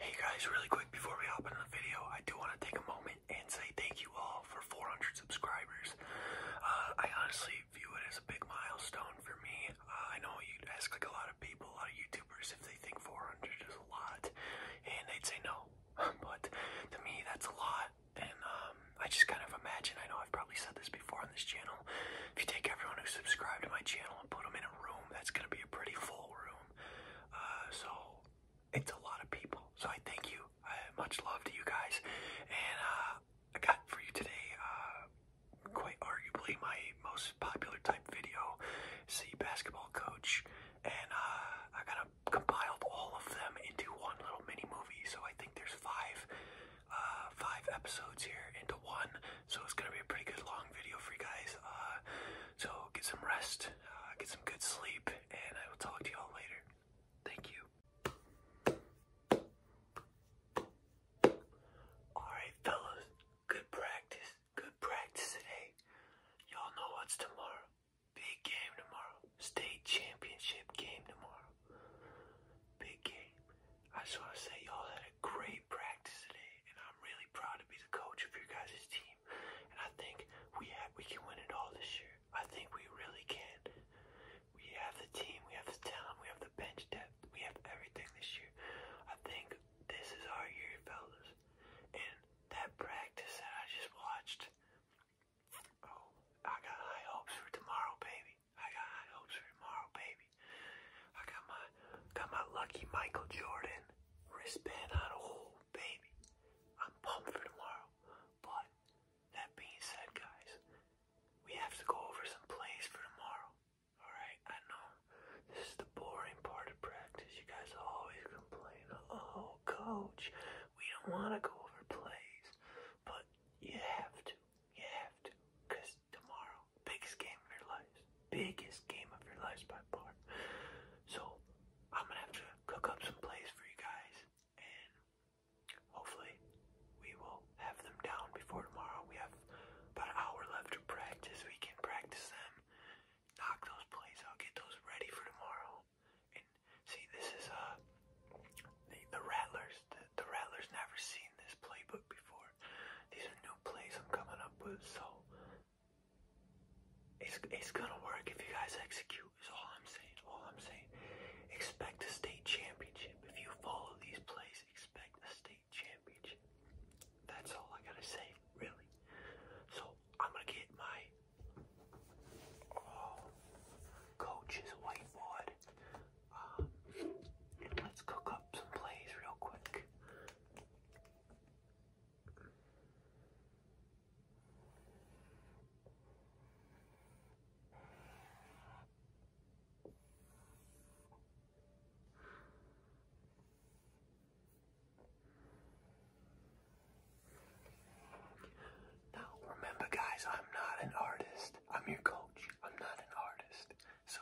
Hey guys, really quick before we hop into the video, I do want to take a moment and say thank you all for 400 subscribers. Uh, I honestly view it as a big milestone for me. Uh, I know you'd ask like a lot of people, a lot of YouTubers, if they think 400 is a lot, and they'd say no. but to me, that's a lot, and um, I just kind of imagine, I know I've probably said this before on this channel, if you take everyone who subscribed to my channel and put them in a room, that's going to be a pretty full room. Uh, so it's a lot of people. So I thank you. much love to you guys. And uh, I got for you today, uh, quite arguably my most popular type video, see basketball coach. And I kind of compiled all of them into one little mini movie. So I think there's five, five episodes here into one. So it's gonna be a pretty good long video for you guys. so get some rest, uh, get some good sleep, and I will talk to y'all later. Thank you. Alright, fellas, good practice. Good practice today. Y'all know what's tomorrow. Big game tomorrow. State championship game tomorrow. Big game. I just want to say y'all had a great practice practice today, and I'm really proud to be the coach of your guys' team. And I think we have, we can win it all this year. I think we really can. We have the team, we have the talent, we have the bench depth, we have everything this year. I think this is our year, fellas. And that practice that I just watched, oh, I got high hopes for tomorrow, baby. I got high hopes for tomorrow, baby. I got my got my lucky Michael Jordan wristband on a whole baby. I'm pumped for tomorrow. But that being said, guys, we have to go over some plays for tomorrow. Alright, I know this is the boring part of practice. You guys always complain, oh, coach, we don't want to go over plays. But you have to. You have to. Because tomorrow, biggest game of your lives biggest game of your lives by far. So I'm gonna have to cook up some plays for you guys, and hopefully we will have them down before tomorrow. We have about an hour left to practice. We can practice them, knock those plays out, get those ready for tomorrow. And see, this is uh the, the Rattlers. The, the Rattlers never seen this playbook before. These are new plays I'm coming up with, so it's, it's gonna work if you guys execute, is all I'm saying. All I'm saying. Expect a state championship. If you follow these plays, expect a state championship. That's all I gotta say, really. So I'm gonna get my oh, coach's whiteboard. Um, let's cook up some plays real quick. Now, remember, guys, I'm not an artist. I'm your coach. I'm not an artist. So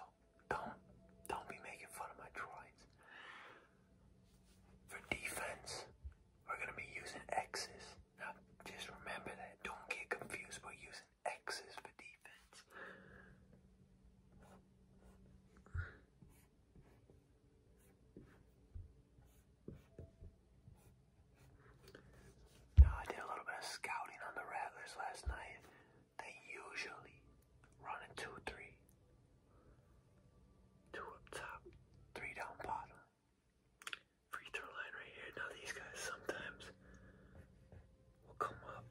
don't don't be making fun of my drawings. For defense, we're going to be using X's. Now, just remember that. Don't get confused. we using X's for defense. Now, I did a little bit of scouting on the Rattlers last night. They usually run a 2 3. Two up top, three down bottom. Free throw line right here. Now these guys sometimes will come up.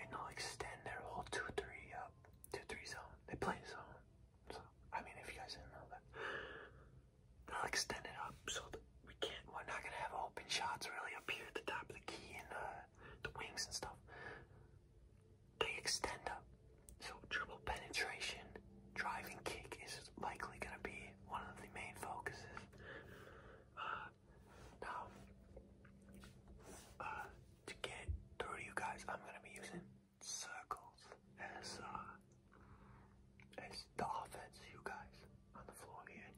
And they'll extend their whole 2 3 up, 2 3 zone. They play zone. So, I mean, if you guys didn't know that, I'll extend it up so we can't. We're not gonna have open shots really up here at the top of the key and uh, the wings and stuff. They extend up, so dribble penetration, driving kick is likely gonna be one of the main focuses. Uh, now, uh, to get through you guys, I'm gonna be using circles as as the offense, you guys on the floor here.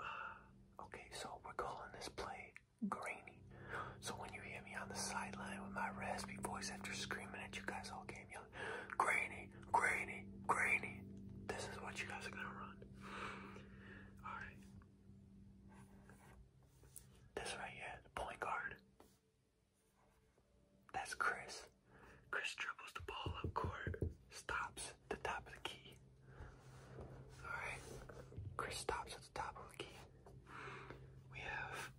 Uh, okay, so we're calling this play grainy. So when you hear me on the sideline with my raspy voice after screaming at you guys all game, yelling, grainy, grainy, grainy, this is what you guys are gonna run. Alright. This right here, point guard. That's Chris. Chris dribbles the ball up court, stops at the top of the key. Alright, Chris stops at the top of the key. We have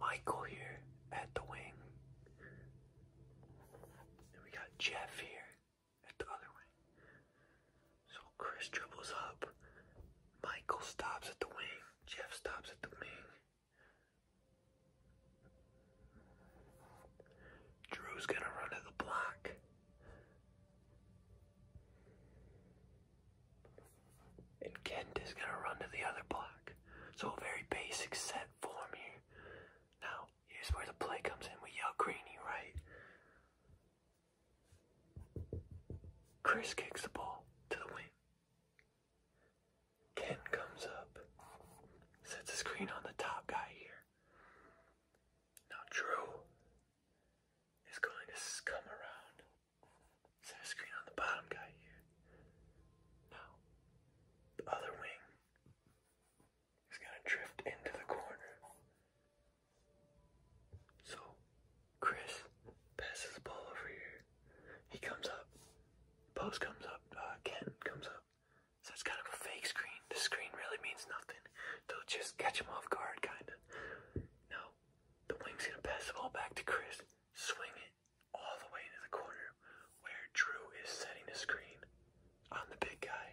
Michael here at the wing. And we got Jeff here at the other wing. So Chris dribbles up. Michael stops at the wing. Jeff stops at the wing. Drew's gonna run to the block. And Kent is gonna run to the other block. So a very basic set form here. Now, here's where the play comes in. We yell greeny, right? Chris kicks the ball to the wing. Ken comes up, sets a screen on the top guy here. Now Drew is going to come around, set a screen on the bottom guy here. Now the other wing is going to drift into the corner. So Chris passes the ball over here. He comes up. Post comes up. Uh, Ken comes up. So it's kind of a fake screen. The screen really means nothing. They'll just catch him off guard, kinda. Now, the wing's gonna pass the all back to Chris, swing it all the way into the corner where Drew is setting the screen on the big guy.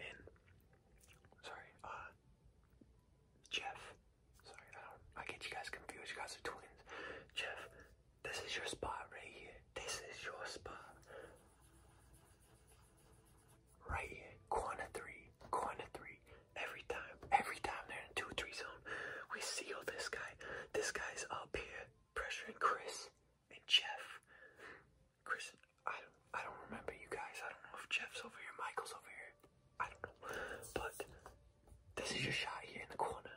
And, sorry, uh, Jeff. Sorry, I get you guys confused. You guys are twins. Jeff this is your spot right here. This is your spot. Right here. Corner three. Corner three. Every time. Every time they're in 2-3 zone, we seal this guy. This guy's up here pressuring Chris and Jeff. Chris, I don't, I don't remember you guys. I don't know if Jeff's over here, Michael's over here. I don't know. But this is your shot here in the corner.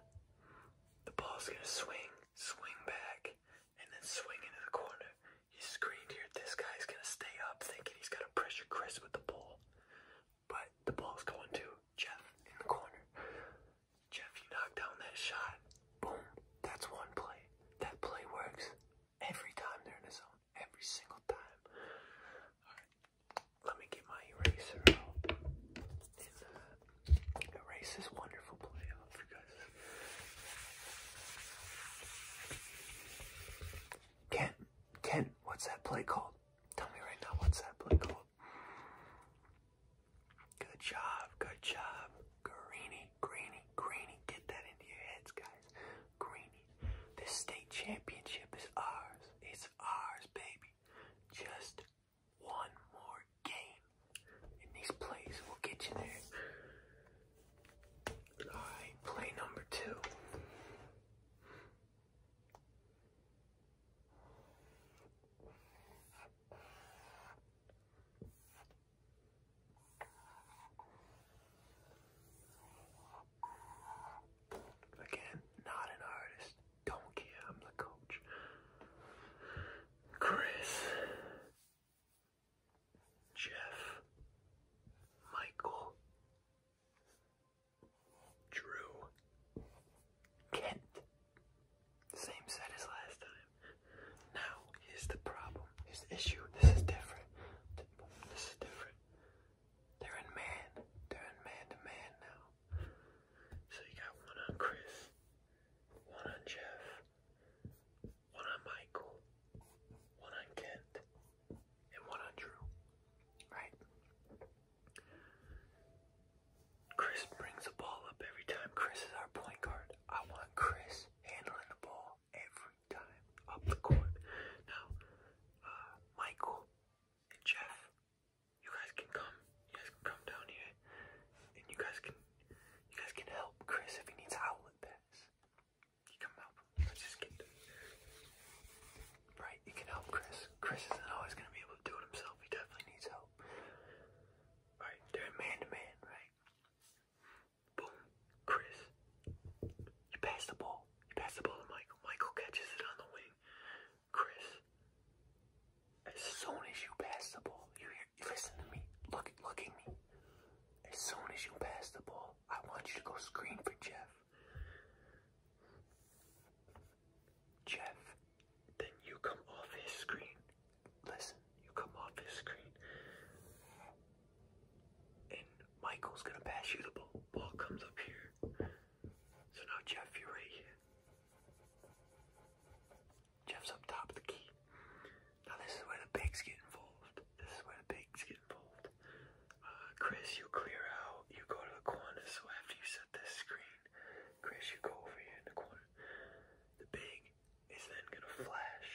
The ball's gonna swing, swing back, and then swing into the corner. He's screened here. This guy's gonna stay up thinking he's gotta pressure Chris with the ball. But the ball's going to Jeff in the corner. Jeff, you knock down that shot. Boom. That's one play. That play works every time they're in the zone. Every single time. Alright. Let me get my eraser erase this wonderful play guys. Ken, Ken, what's that play called? Tell me right now, what's that play called? Good job, good job. Greeny, greeny, greeny. Get that into your heads, guys. Greeny. This state championship is ours. It's ours, baby. Just one more game in these plays will get you there. Alright, play number two. Again, not an artist. Don't care, I'm the coach. Chris, Jeff, Michael, Drew, Kent. Same set as last time. Now, here's the problem. Here's issue. This is different. This is different. They're in man. They're in man to man now. So you got one on Chris, one on Jeff, one on Michael, one on Kent, and one on Drew. Right? Chris brings the ball up every time. Chris is our point guard. I want Chris handling the ball every time up the court. Now, uh, Michael and Jeff, you guys can come. You guys can come down here and you guys can you guys can help Chris if he needs outlet this. You can help him. let just get Right, you can help Chris. Chris isn't always gonna be able to do it himself. He definitely needs help. Alright, they're man to man, right? Boom. Chris. You pass the ball. You pass the ball to Michael. Michael catches it on the wing. Chris as soon as you pass the ball, you listen to me. Look, look at me. As soon as you pass the ball, I want you to go screen for Jeff. Jeff, then you come off his screen. Listen, you come off his screen. And Michael's gonna pass you the ball. Ball comes up here. So now Jeff, you're right here. Jeff's up top of the key. Now this is where the bigs get involved. This is where the bigs get involved. Uh, Chris, you clear out. You go to the corner. So after you set this screen, Chris, you go over here in the corner. The big is then gonna flash.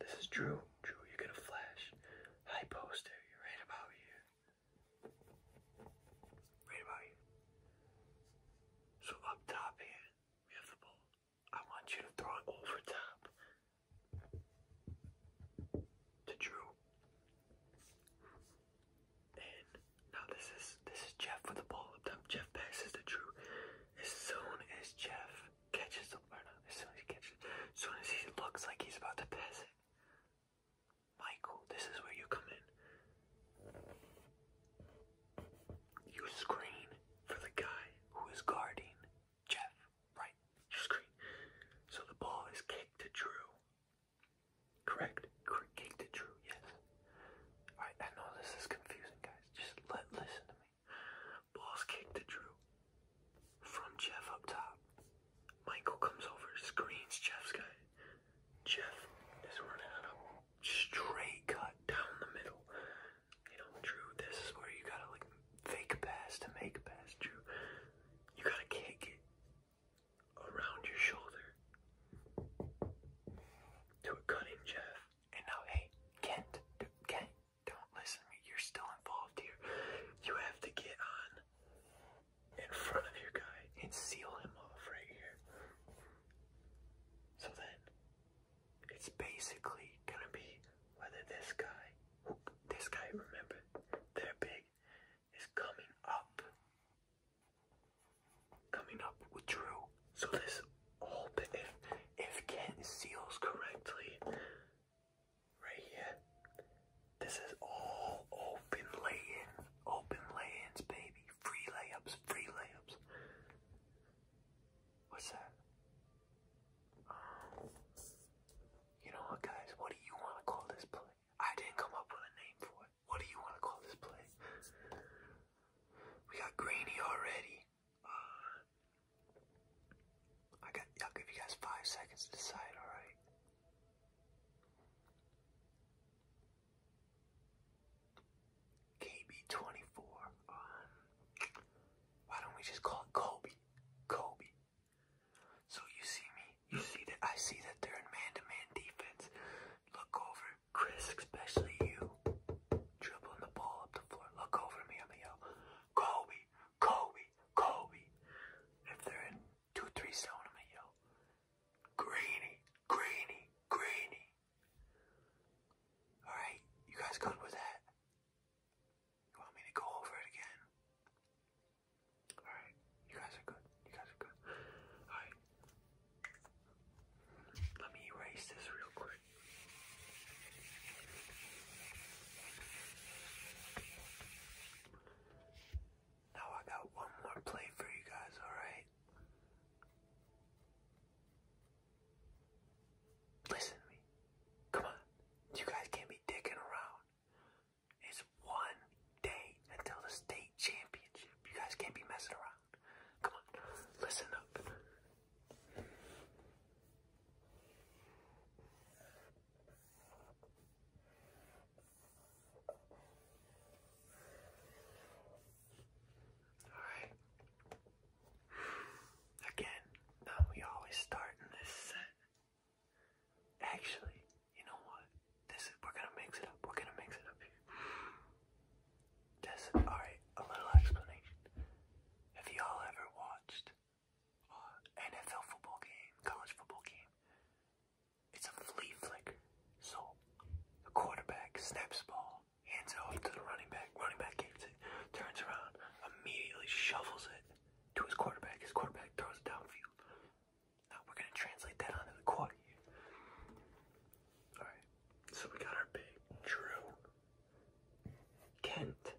This is Drew. Drew, you're gonna flash. High poster. You're right about here. Right about here. So up top here, we have the ball. I want you to throw it over top to Drew. And now this is this is Jeff with the ball up top. Jeff passes to Drew. As soon as Jeff catches the or not, as soon as he catches as soon as he looks like he's about to pass it. Michael, this is where you come in. You screen for the guy who is guarding Jeff, right? You screen. So the ball is kicked to Drew. Correct? Kicked to Drew, yes. Alright, I know this is confusing, guys. Just let listen to me. Ball's kicked to Drew. From Jeff up top. Michael comes over, screens Jeff's guy. Jeff is running up straight cut down the middle. You know, Drew, this is where you gotta like fake pass to make a pass, Drew. You gotta kick around your shoulder to a cutting Jeff. And now, hey, Kent, Kent, don't listen me. You're still involved here. You have to get on in front of your guy and seal him off right here. So then it's basically gonna be whether this guy, whoop, this guy, remember, they're big, is coming up, coming up with Drew. So this whole if if Kent seals correctly, right here, this is all open lay-in, open lay-ins, baby, free layups, free layups. What's that? you know what, guys? What do you want to call this play? I didn't come up with a name for it. What do you want to call this play? We got grainy already. Uh, I got. I'll give you guys five seconds to decide. All right. KB24. Um, why don't we just call it Kobe? Kobe. So you see me. You see that I see that they're in man-to-man defense. Look over, Chris, especially you. Dribbling the ball up the floor. Look over me. I'm gonna yell, Kobe, Kobe, Kobe. If they're in two, three zone, I'm gonna yell, Greeny, Greeny, Greeny. Alright, you guys good with that? You want me to go over it again? Alright, you guys are good. You guys are good. Alright. Let me erase this real quick. Now I got one more play for you guys, alright? Listen to me. Come on. You guys can't be dicking around. It's one day until the state championship. You guys can't be messing around. Come on. Listen up. All right. Again, uh, we always start in this set. Actually, you know what? This we're gonna mix it up. We're gonna mix it up here. alright, a little explanation. Have you all ever watched uh, NFL football game, college football game? It's a flea flicker. So the quarterback snaps ball hands it off to the running back. Running back gets it, turns around, immediately shuffles it to his quarterback. His quarterback throws it downfield. Now we're gonna translate that onto the quad Alright, so we got our big Drew, Kent,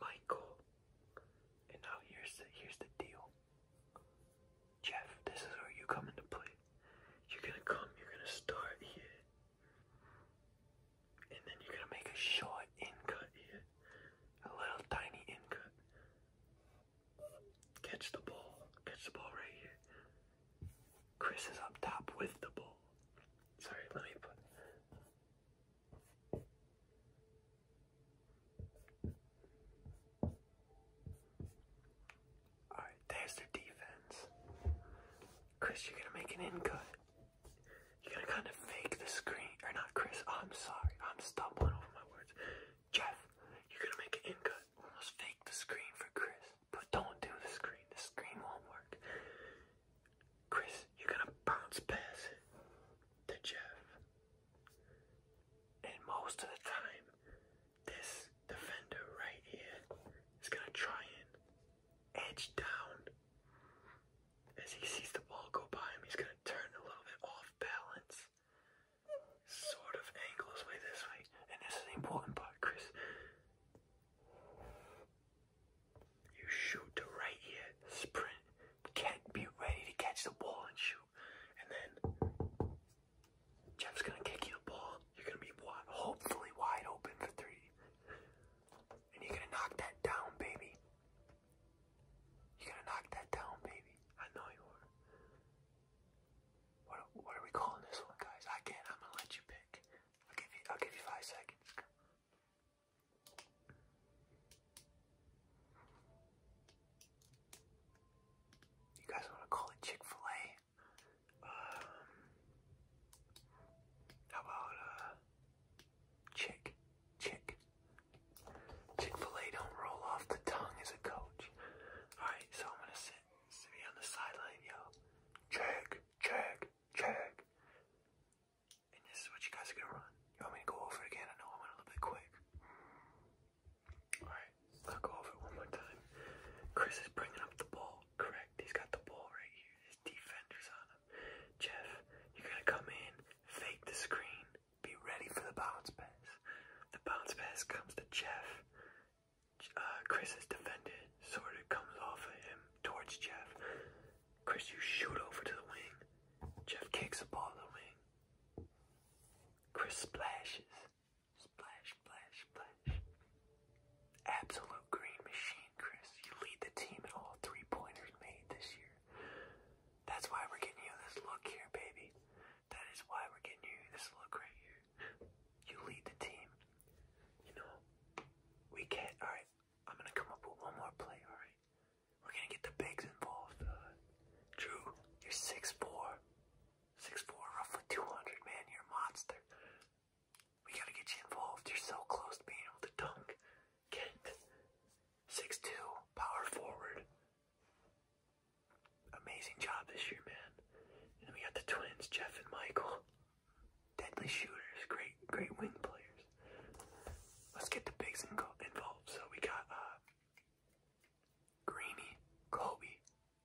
Michael, and now here's here's the deal. Jeff, this is where you come into play. You're gonna come, you're gonna start here. And then you're gonna make a short in cut here. A little tiny in cut. Catch the ball. Catch the ball right here. Chris is up top with the ball. Sorry, let me put. Alright, there's their defense. Chris, you're gonna make an in cut. You're gonna kind of fake the screen. Or not Chris, I'm sorry. I'm stumbling over my words. Jeff, you're gonna make an in cut. Almost fake the screen for Chris. But don't do the screen. The screen won't work. Chris, you're gonna bounce past to Jeff. And most of the time, this defender right here is going to try and edge down. As he sees the ball go by him, he's going to turn a little bit off balance. Sort of angle his way this way. And this is the important part, Chris. You shoot to right here, sprint, get, be ready to catch the ball and shoot. And then Jeff's gonna kick you the ball. You're gonna be hopefully wide open for three. And you're gonna knock that down, baby. You're gonna knock that down, baby. I know you are. What what are we calling this one, guys? I can't. I'm gonna let you pick. I'll give you. I'll give you five seconds. You guys want to call it Chick Fil A? Um, how about uh, chick, chick? Chick-fil-A don't roll off the tongue as a coach. All right, so I'm gonna sit, sit me on the sideline, yo. Check, check, check. And this is what you guys are gonna run. You want me to go over it again? I know I went a little bit quick. Alright, I'll go over it one more time. Chris is bringing up the ball correct. He's got the ball right here. His defender's on him. Jeff, you're going to come in, fake the screen, be ready for the bounce pass. The bounce pass comes to Jeff. Uh, Chris is defended, sort of comes off of him towards Jeff. Chris, you shoot over to the wing. Jeff kicks the ball to the wing. Chris splashes. Splash, splash, splash. Absolute green machine, Chris. You lead the team in all three pointers made this year. That's why we're getting you this look here, baby. That is why we're getting you this look right here. You lead the team. You know, we can't. Alright, I'm gonna come up with one more play, alright? We're gonna get the bigs involved. Uh, Drew, you're 6'4. 6'4, roughly 200, man. You're a monster. We gotta get you involved. You're so close to being able to dunk. Kent, 6'2, power forward. Amazing job this year, man. And we got the twins, Jeff and Michael. Deadly shooters, great, great wing players. Let's get the bigs involved. So we got uh, Greeny, Kobe,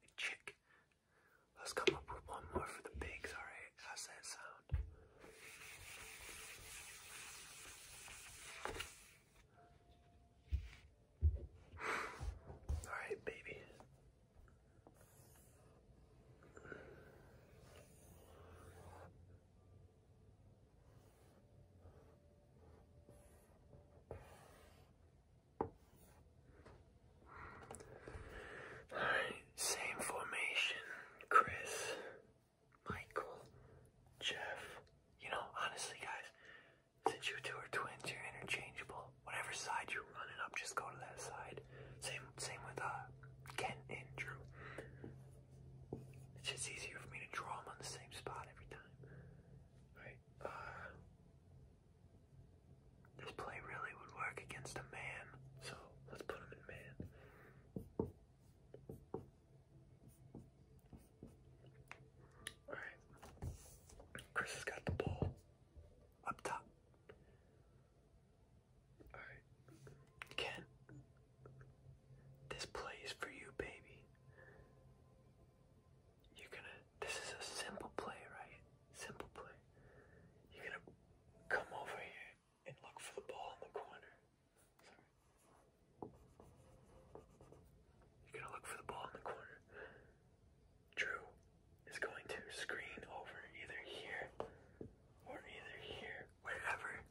and Chick. Let's come up with one more for the bigs, alright? How's that sound? Alright, baby same formation. Chris, Michael, Jeff. You know, honestly, guys, since you two are twins, you're interchangeable. Whatever side you're running up, just go to that side. Same, same with uh, Ken and Drew. It's just easier for me to draw them on the same spot every time. All right. Uh, this play really would work against a man, so let's put him in man. Alright. Chris has got the ball up top. Alright. Ken, this play is for you, baby. You're gonna. This is a simple play, right? Simple play. You're gonna come over here and look for the ball in the corner. You're gonna look for the ball in the corner. Drew is going to screen over either here or either here, wherever,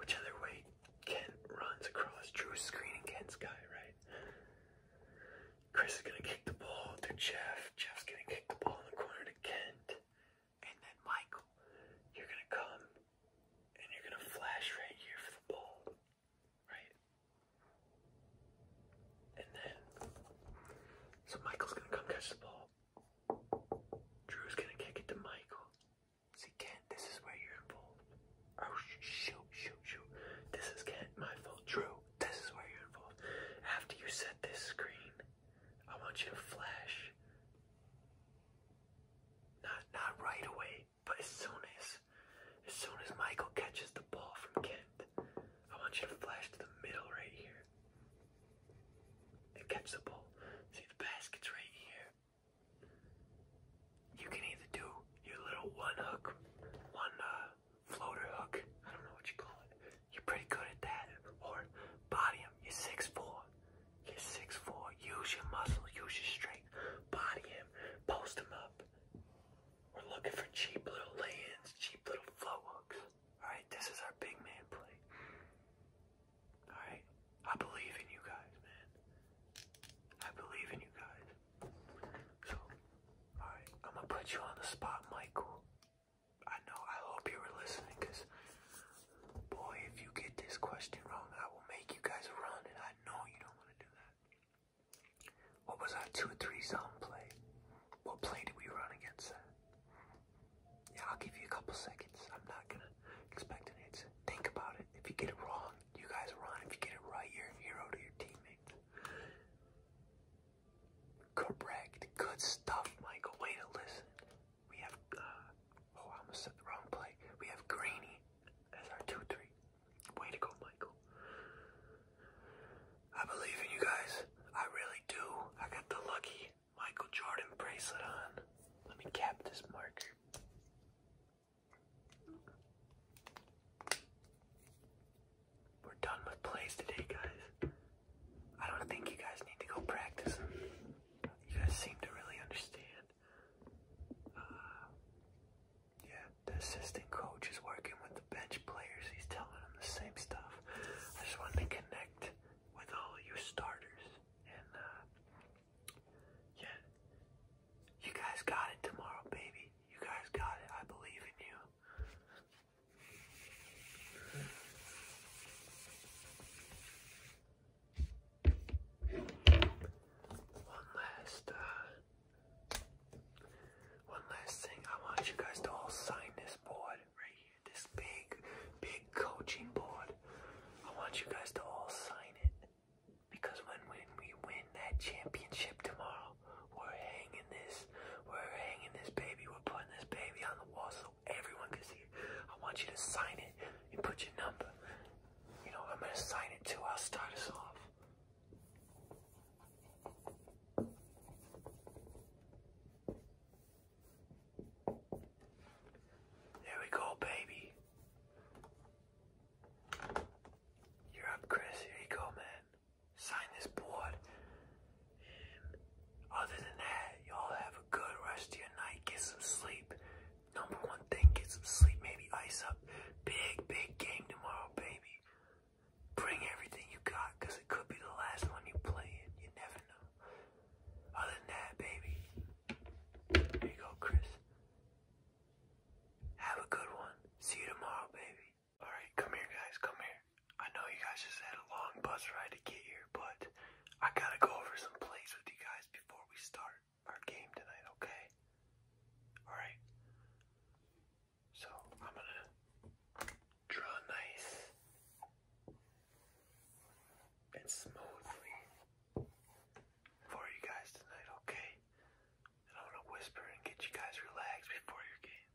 whichever way Kent runs across. Drew's screening Kent's guy, right? Chris is gonna kick the ball to Jeff. Jeff's gonna kick the ball in the corner to Kent. And then Michael, you're gonna come and you're gonna flash right here for the ball. Right? And then so Michael's gonna come catch the ball. Drew's gonna kick it to Michael. See Kent, this is where you're involved. Oh shoot, shoot, shoot. This is Kent, my fault. Drew, this is where you're involved. After you set this screen, I want you to flash. Not not right away, but as soon as as soon as Michael catches the ball from Kent, I want you to flash to the middle right here. And catch the ball. See the basket's right here. You can either do your little one hook, one uh, floater hook. I don't know what you call it. You're pretty good at that. Or body him. You're six four. You're six four. Use your muscle. Use your strength. Body him. Post him up. We're looking for cheap little lay-ins. cheap little float hooks. Alright, this is our big man play. Alright? I believe in you guys, man. I believe in you guys. So, alright, I'm gonna put you on the spot, Michael. I know, I hope you were listening because, boy, if you get this question wrong, I will make you guys run, and I know you don't want to do that. What was that? 2 or 3 zone play? What play did we run against that? Yeah, I'll give you a couple seconds. I'm not going to expect an answer. Think about it. If you get it wrong, you guys run. If you get it right, you're a hero to your teammates. Correct. Good stuff, Michael. Way to listen. We have, uh, oh, I almost said the wrong play. We have Greeny as our 2 3. Way to go, Michael. I believe in you guys. I really do. I got the lucky Michael Jordan bracelet on. Let me cap this marker. We're done with plays today, guys. I don't think you guys need to go practice You guys seem to really understand. Uh, yeah, the assistant coach is working with the bench players. He's telling them the same stuff. I just wanted to connect with all of you starters. And, uh, yeah, you guys got it tomorrow, baby. You guys got it. I believe in you. One last, uh, one last thing. I want you guys to all sign this board right here. This big, big coaching board. I want you guys to all sign it because when when we win that championship tomorrow, we're hanging this we're hanging this baby. We're putting this baby on the wall so everyone can see I want you to sign it and put your number. You know, I'm going to sign it too. I'll start us off. There we go, baby. You're up, Chris. Here you go, man sign this board. other than that, y'all have a good rest of your night. Get some sleep. Number one thing, get some sleep. Maybe ice up. Big, big game tomorrow, baby. Bring everything you got, because it could be the last one you play in. You never know. Other than that, baby. Here you go, Chris. Have a good one. See you tomorrow, baby. Alright, come here guys, come here. I know you guys just had a long bus ride to get here, but I gotta go over some plays with you guys before we start our game tonight, okay? Alright. So I'm gonna draw nice and smoothly for you guys tonight, okay? And I'm gonna whisper and get you guys relaxed before your game.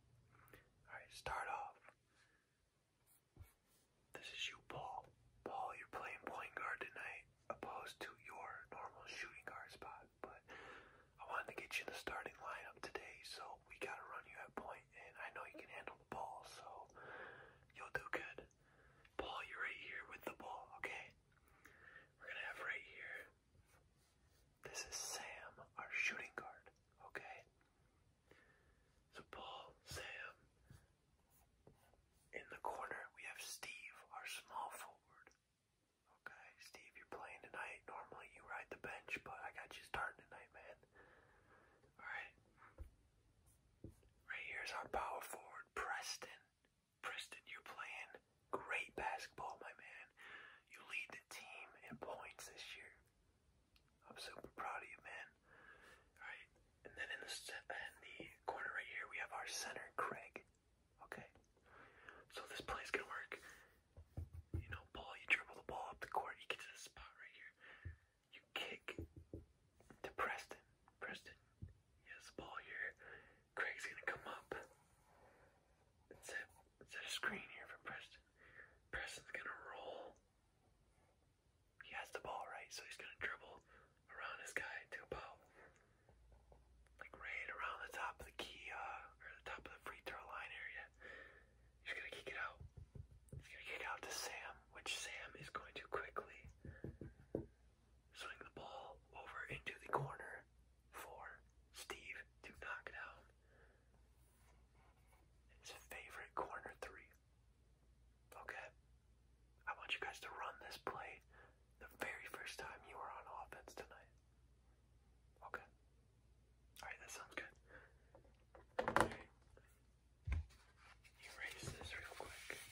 Alright, start off. This is you, Paul. Paul, you're playing point guard tonight, opposed to your normal shooting guard spot. But I wanted to get you in the starting lineup today, so we gotta run you at point, and I know you can handle the ball, so you'll do good. Paul, you're right here with the ball, okay? We're gonna have right here. This is Sam, our shooting guard, okay? So Paul, Sam. In the corner, we have Steve, our small forward. Okay, Steve, you're playing tonight. Normally you ride the bench, but I got you starting tonight, man. Alright. Right here's our power forward, Preston. Preston, you're playing great basketball, my man. You lead the team in points this year. I'm super proud of you, man. Alright, and then in the, corner right here, we have our center, Craig. Okay, so this play's gonna work. You know, ball, you dribble the ball up the court, you get to this spot right here. You kick to Preston. Preston, he has the ball here. Craig's gonna come up and set, set a screen here for Preston. Preston's gonna roll he has the ball, right? So he's gonna dribble around his guy to about like right around the top of the key, uh, or the top of the free throw line area. He's gonna kick it out. He's gonna kick out to Sam, which Sam is going to quickly swing the ball over into the corner for Steve to knock it out. His favorite corner three. Okay? I want you guys to run this play the very first time you are on offense tonight. Okay? Alright, that sounds good. Erase this real quick.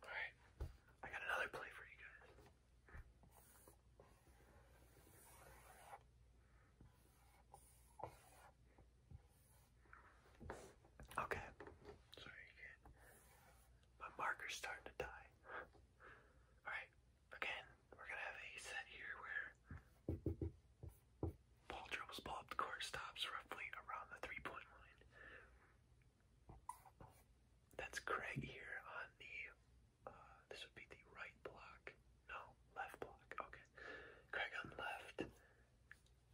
Alright. I got another play for you guys. Okay. Sorry again. My marker's starting to die. Alright, again, we're gonna have a set here where ball dribbles ball up the court stops roughly around the three-point line. That's Craig here on the, uh, this would be the right block. No, left block. Okay. Craig on left,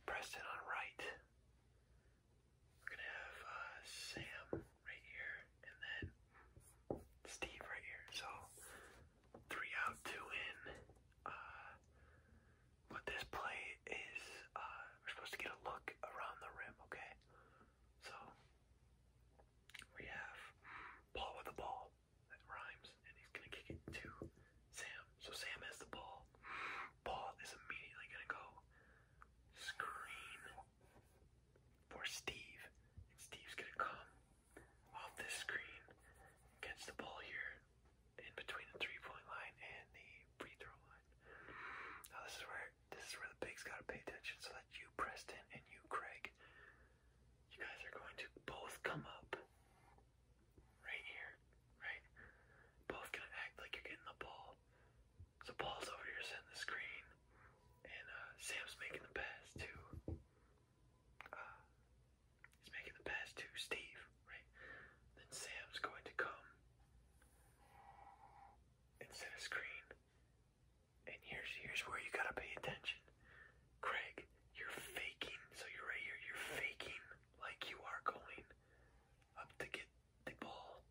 Preston on right. We're going to have uh, Sam right here, and then Steve right here. So three out, two in. Uh, what this play is, uh, we're supposed to get a look around the rim, okay? So we have Paul with the ball that rhymes, and he's gonna kick it to Sam. So Sam has the ball. Paul is immediately gonna go screen for Steve, and Steve's gonna come off this screen, gets the ball here in between the three-point line and the free throw line. Now this is where this is where the pigs gotta pay attention so that you, Preston, and you, Craig, you guys are going to both come up right here, right? Both gonna act like you're getting the ball. So Paul's over here setting the screen, and uh, Sam's making the pass to. Uh, he's making the pass to Steve, right? Then Sam's going to come instead of screen. And here's here's where you gotta pay attention. Craig, you're faking. So you're right here, you're faking like you are going up to get the ball.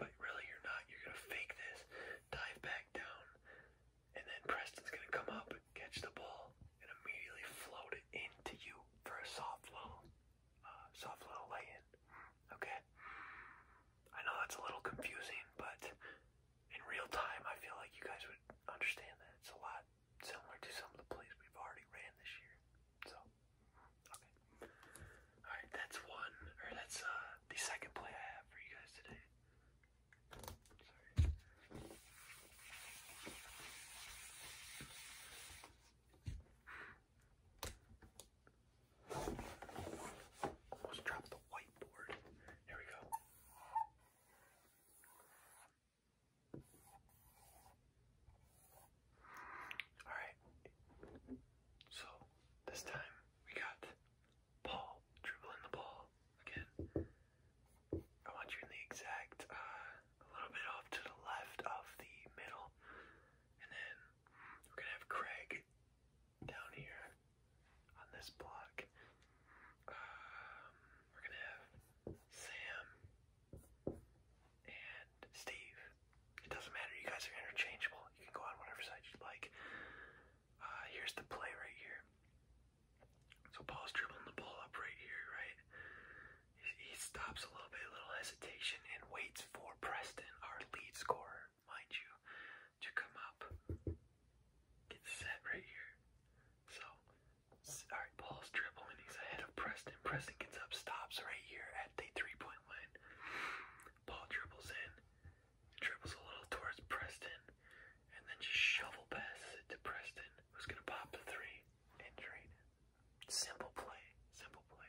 But really you're not. You're gonna fake this, dive back down, and then Preston's gonna come up, catch the ball, and immediately float it into you for a soft low uh, soft little lay Okay, I know that's a little confusing, but in real time, I feel like you guys would understand that it's a lot similar to some of the plays we've already ran this year. So, okay, all right, that's one, or that's uh, the second play I have for you guys today. Sorry. Almost dropped the whiteboard. Here we go. Alright. So, this time we got Paul dribbling the ball again. I want you in the exact, uh, a little bit off to the left of the middle, and then we're gonna have Craig down here on this block. Um, we're gonna have Sam and Steve. It doesn't matter, you guys are interchangeable. You can go on whatever side you'd like. Uh, here's the play right here. So Paul's dribbling the ball up right here, right? He, he stops a little bit, a little hesitation, and waits for Preston, our lead scorer, mind you, to come up. Get set right here. So, alright, Paul's dribbling. He's ahead of Preston. Preston gets up, stops right here at the three point line. Paul dribbles in, dribbles a little towards Preston, and then just shovel passes it to Preston, who's going to pop the three and drain Simple play. Simple play.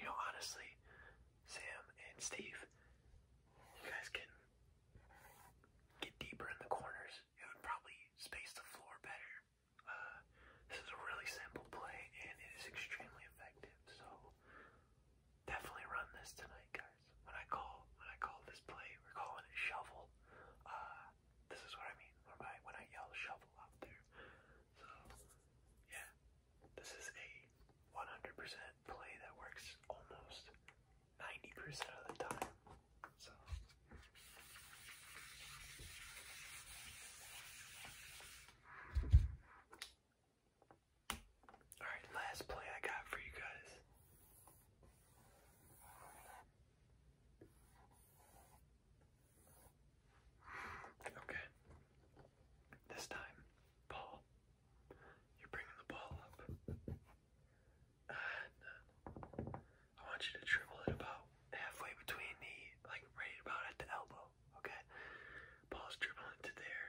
You know, honestly, Sam, and Steve, you guys can get deeper in the corners. It would probably space the floor better. Uh, this is a really simple play, and it is extremely effective. So definitely run this tonight, guys. When I call, when I call this play, we're calling it shovel. Uh, this is what I mean when I yell shovel out there. So yeah, this is a 100% play that works almost 90% of the time. So. Alright, last play I got for you guys. Okay. This time, Paul you're bringing the ball up. And uh, I want you to dribble it about halfway between the, like right about at the elbow, okay? Ball's dribbling to there.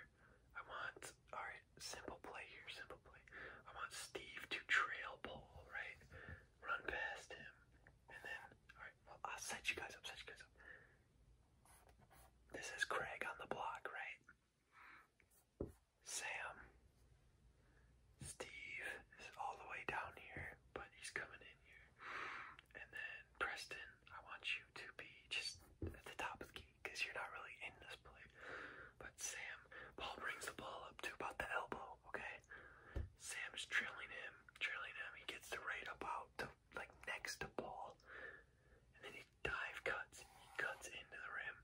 I want, alright, simple play here, simple play. I want Steve to trail ball, right? Run past him. And then, alright, well, I'll set you guys up, set you guys up. This is Craig on the block, right? Sam. Steve is all the way down here, but he's coming in here. And then Preston, I want you to be just at the top of the key because you're not really in this play. But Sam, Paul brings the ball up to about the elbow, okay? Sam is trailing him, trailing him. He gets the right about. out like next to ball, and then he dive cuts he cuts into the rim.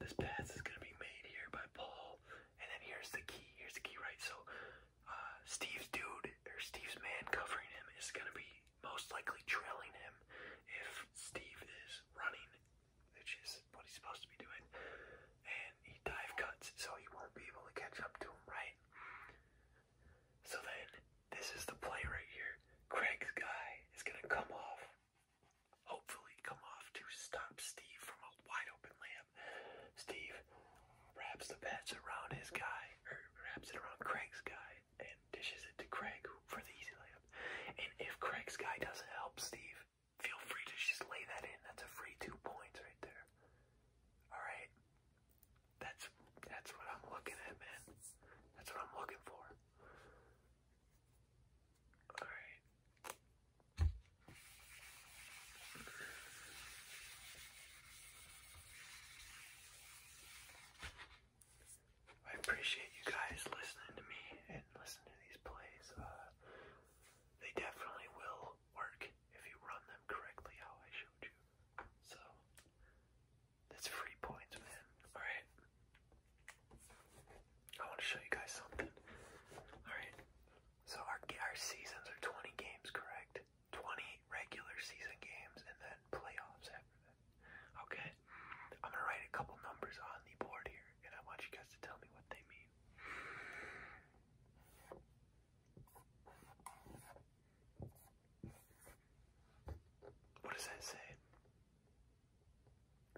This pass is gonna be made here by Paul, and then here's the key. Here's the key, right? So uh, Steve's dude or Steve's man covering him is gonna be most likely trailing him if Steve is running, which is what he's supposed to be doing. And he dive cuts, so he won't be able to catch up to him, right? So then, this is the play right here. Craig's guy is going to come off, hopefully come off to stop Steve from a wide open layup. Steve wraps the bats around his guy, or wraps it around Craig's guy, and dishes it to Craig for the easy layup. And if Craig's guy doesn't help Steve, feel free to just lay that in. That's a free two points right there. All right. That's that's what I'm looking at, man. That's what I'm looking for. All right. I appreciate you guys listening to me and listening to these plays. Uh, they definitely will work if you run them correctly how I showed you. So that's free points, man. Alright. I want to show you guys something. Alright. So our, our seasons are 20 games, correct? 20 regular season games and then playoffs after that. Okay. I'm going to write a couple numbers on the board here and I want you guys to tell me what they mean. What does that say?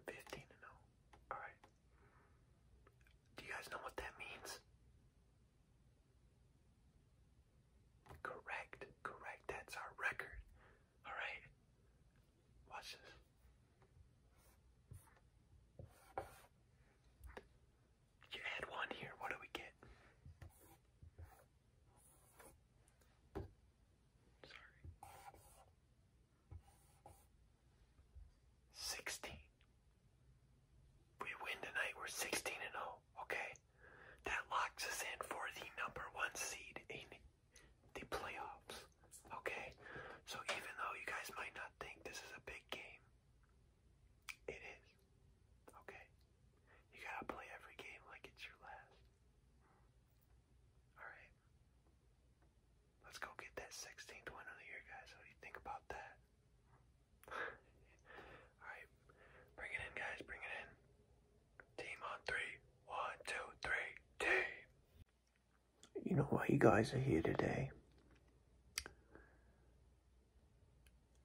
15 and 0. Alright. Do you guys know what that means? Correct, correct. That's our record. Alright. Watch this. You add one here, what do we get? Sorry. Sixteen. We win tonight. We're sixteen and zero. Oh, okay, that locks us in for the number one seed in the playoffs. Okay, so even though you guys might not think this is a big game, it is. Okay? You gotta play every game like it's your last. Alright. Let's go get that 16th win of the year, guys. What do you think about that? Alright. Bring it in, guys. Bring it in. Team on three. One, Team. You know why you guys are here today?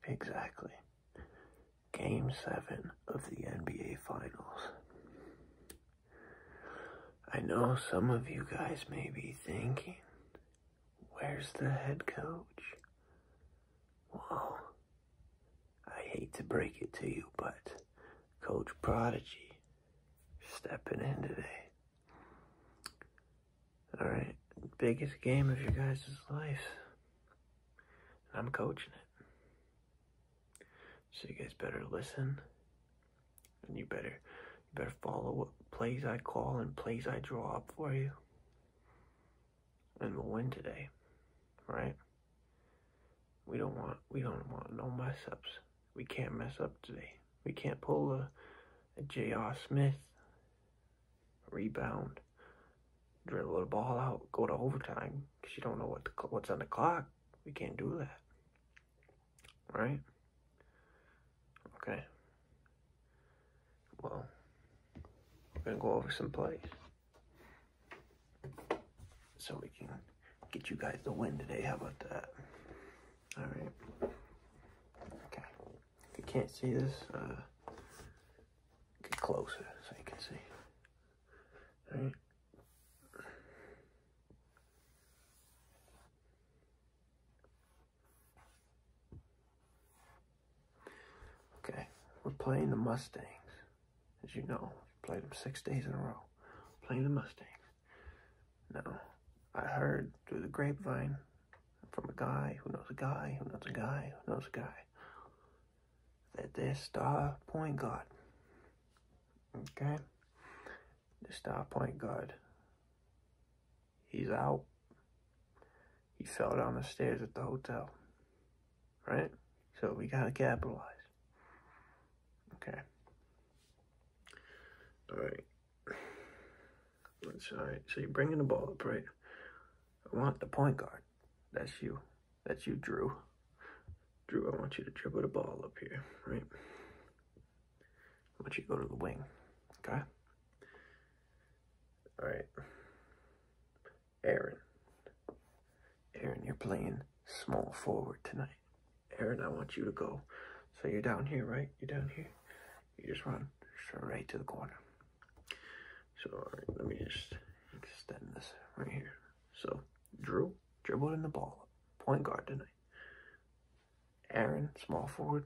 Exactly. Game 7 of the NBA Finals. I know some of you guys may be thinking, where's the head coach? Well, I hate to break it to you, but Coach Prodigy stepping in today. Alright, biggest game of your guys' life. And I'm coaching it. So you guys better listen and you better you better follow what plays I call and plays I draw up for you. And we'll win today. Right? We don't want we don't want no mess ups. We can't mess up today. We can't pull a, a J.R. Smith rebound Drill a little ball out, go to overtime because you don't know what the, what's on the clock. We can't do that, right? Okay. Well, we're gonna go over some plays so we can get you guys the win today. How about that? All right. Okay. If you can't see this, uh, get closer so you can see. Right? Okay, we're playing the Mustangs. As you know, we played them six days in a row. playing the Mustangs. Now, I heard through the grapevine from a guy who knows a guy who knows a guy who knows a guy that their star point guard, okay, the star point guard, he's out. He fell down the stairs at the hotel, right? So we gotta capitalize. Okay. All right. That's all right. So you're bringing the ball up, right? I want the point guard. That's you. That's you, Drew. Drew, I want you to dribble the ball up here, right? I want you to go to the wing, okay? All right. Aaron. Aaron, you're playing small forward tonight. Aaron, I want you to go. So you're down here, right? You're down here. You just run straight to the corner. So let me just extend this right here. So Drew dribbled in the ball point guard tonight. Aaron, small forward,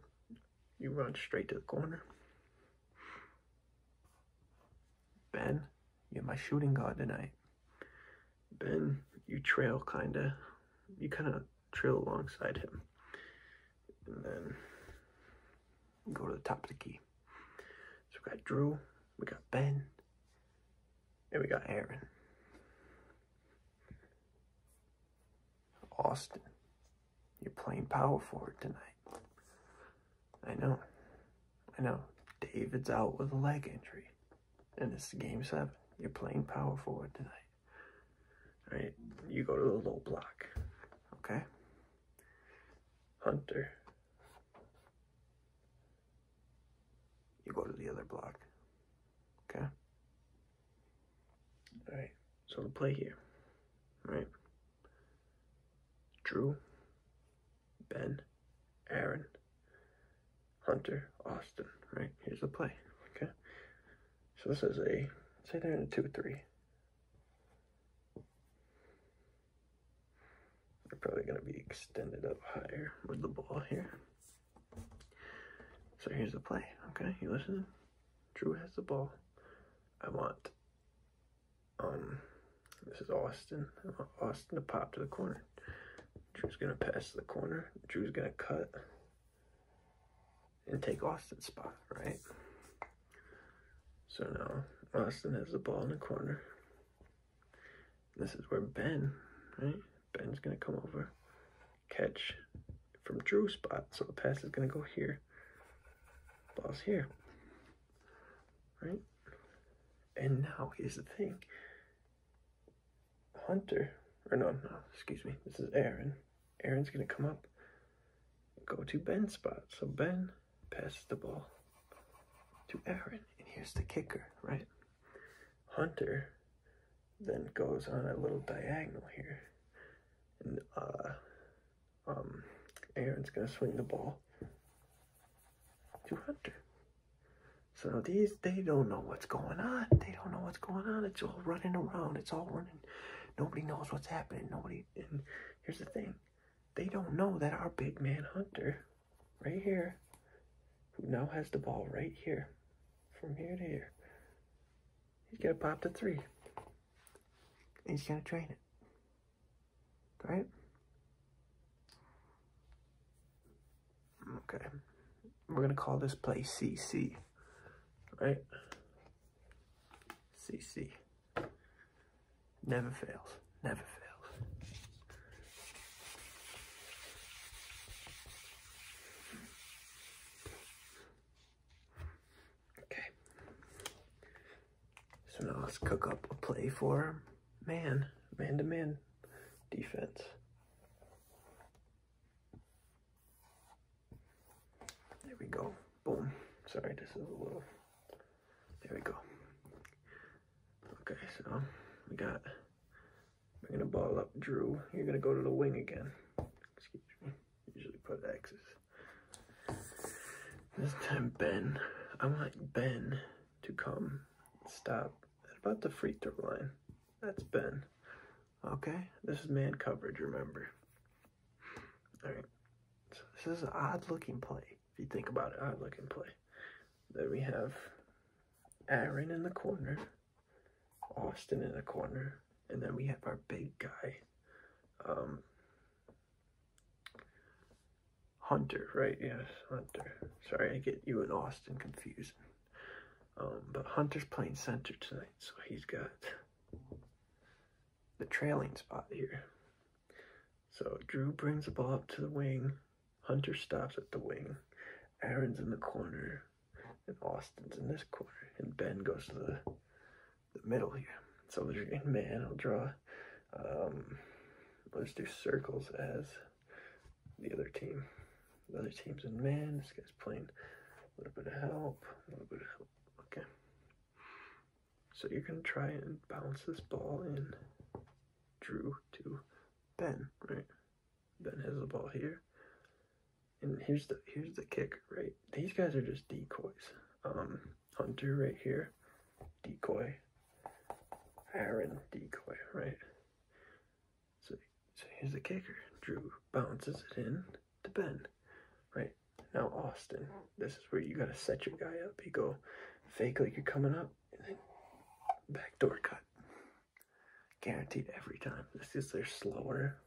you run straight to the corner. Ben, you're my shooting guard tonight. Ben, you trail kinda, you kinda trail alongside him. And then go to the top of the key. So we've got Drew, we got Ben, and we got Aaron. Austin, you're playing power forward tonight. I know. I know. David's out with a leg injury. And it's game seven. You're playing power forward tonight. All right? You go to the low block. Okay? Hunter. You go to the other block. Okay? Alright, so the play here. right? Drew, Ben, Aaron, Hunter, Austin. Right? Here's the play. Okay? So this is a, say there are in 2 3. They're probably going to be extended up higher with the ball here. So here's the play, okay? You listen? Drew has the ball. I want, um, this is Austin. I want Austin to pop to the corner. Drew's going to pass to the corner. Drew's going to cut and take Austin's spot, right? So now Austin has the ball in the corner. This is where Ben, right? Ben's going to come over, catch from Drew's spot. So the pass is going to go here. Ball's here. Right? And now here's the thing. Hunter, or no, no, excuse me. This is Aaron. Aaron's going to come up go to Ben's spot. So Ben passes the ball to Aaron. And here's the kicker, right? Hunter then goes on a little diagonal here. And uh, um, Aaron's going to swing the ball to Hunter. So these, they don't know what's going on. They don't know what's going on. It's all running around. It's all running. Nobody knows what's happening. Nobody. And here's the thing they don't know that our big man Hunter, right here, who now has the ball right here, from here to here, he's going to pop the three. he's going to drain it. Right? Okay. We're going to call this play CC. Right? CC. Never fails. Never fails. Okay. So now let's cook up a play for man, man to man defense. There we go. Boom. Sorry, this is a little. There we go. Okay, so we got, we're gonna ball up Drew. You're gonna go to the wing again. Excuse me, usually put X's. This time Ben, I want Ben to come stop at about the free throw line. That's Ben. Okay, this is man coverage, remember. All right, this is an odd looking play. If you think about it, I look and play. Then we have Aaron in the corner, Austin in the corner, and then we have our big guy, um, Hunter, right? Yes, Hunter. Sorry, I get you and Austin confused. Um, but Hunter's playing center tonight, so he's got the trailing spot here. So Drew brings the ball up to the wing. Hunter stops at the wing. Aaron's in the corner. And Austin's in this corner. And Ben goes to the, the middle here. So there's in man. I'll draw. Um, let's do circles as the other team. The other team's in man. This guy's playing a little bit of help. A little bit of help. Okay. So you're going to try and bounce this ball in Drew to Ben, right? Ben has the ball here. And here's the here's the kicker, right? These guys are just decoys. Um, Hunter right here, decoy. Aaron decoy, right? So, so here's the kicker. Drew bounces it in to Ben, right? Now Austin, this is where you gotta set your guy up. You go fake like you're coming up, backdoor cut. Guaranteed every time. This is their slower,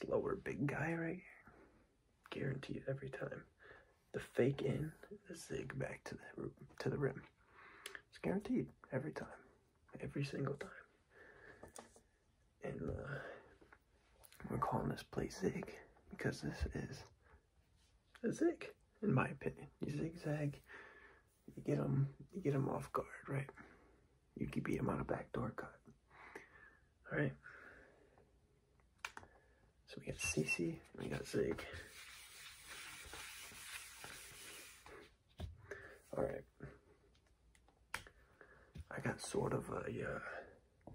slower big guy right here. Guaranteed every time. The fake in, the zig back to the to the rim. It's guaranteed every time, every single time. And uh, we're calling this play zig because this is a zig, in my opinion. You zigzag, you get them, you get them off guard, right? You can beat them on a backdoor cut. All right. So we got CC and we got Zig. All right. I got sort of a, uh,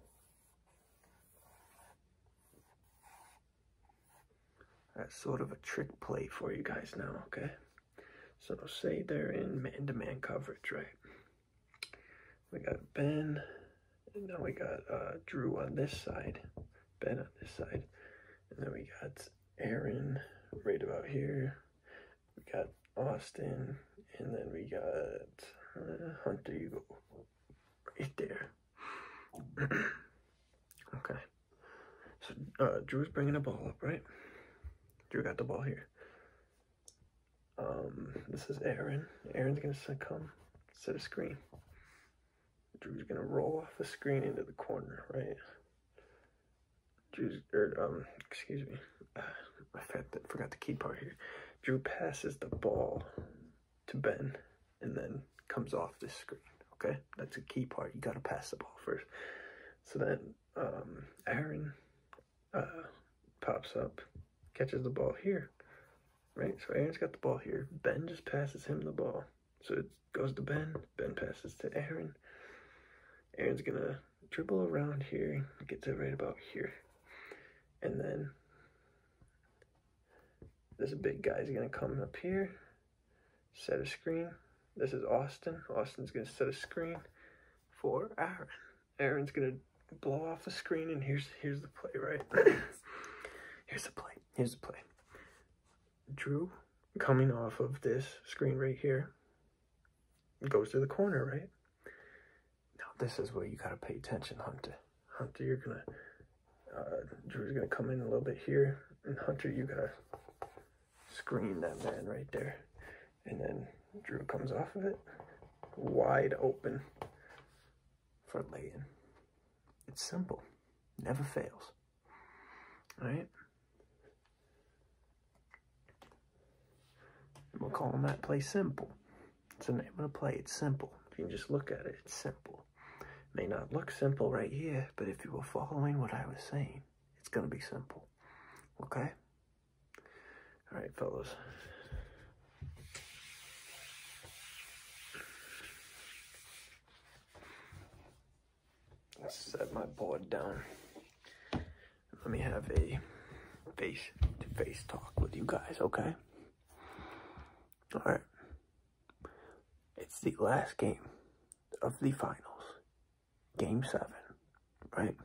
that's sort of a trick play for you guys now, okay? So say they're in man-to-man coverage, right? We got Ben, and now we got uh, Drew on this side, Ben on this side, and then we got Aaron right about here. We got Austin, and then we got uh, Hunter. You go right there. okay. So uh, Drew's bringing the ball up, right? Drew got the ball here. Um, this is Aaron. Aaron's gonna succumb. set a screen. Drew's gonna roll off the screen into the corner, right? Drew's, or, er, um, excuse me, I forgot the key part here. Drew passes the ball to Ben and then comes off this screen. Okay, that's a key part. You got to pass the ball first. So then um, Aaron uh, pops up, catches the ball here, right? So Aaron's got the ball here. Ben just passes him the ball. So it goes to Ben. Ben passes to Aaron. Aaron's going to dribble around here, gets it right about here. And then this big guy's gonna come up here, set a screen. This is Austin. Austin's gonna set a screen for Aaron. Aaron's gonna blow off the screen and here's here's the play, right? here's the play. Here's the play. Drew coming off of this screen right here goes to the corner, right? Now this is where you gotta pay attention, Hunter. Hunter, you're gonna, uh, Drew's gonna come in a little bit here, and Hunter, you gotta screen that man right there. And then Drew comes off of it, wide open for laying. It's simple, never fails, All right? we'll call him that play simple. It's an, I'm going to play it simple. You can just look at it. It's simple. may not look simple right here, but if you were following what I was saying, it's going to be simple. Okay? All right, fellas. Let's set my board down. Let me have a face to -face talk with you guys, okay? Alright. It's the last game of the finals. Game 7. Right?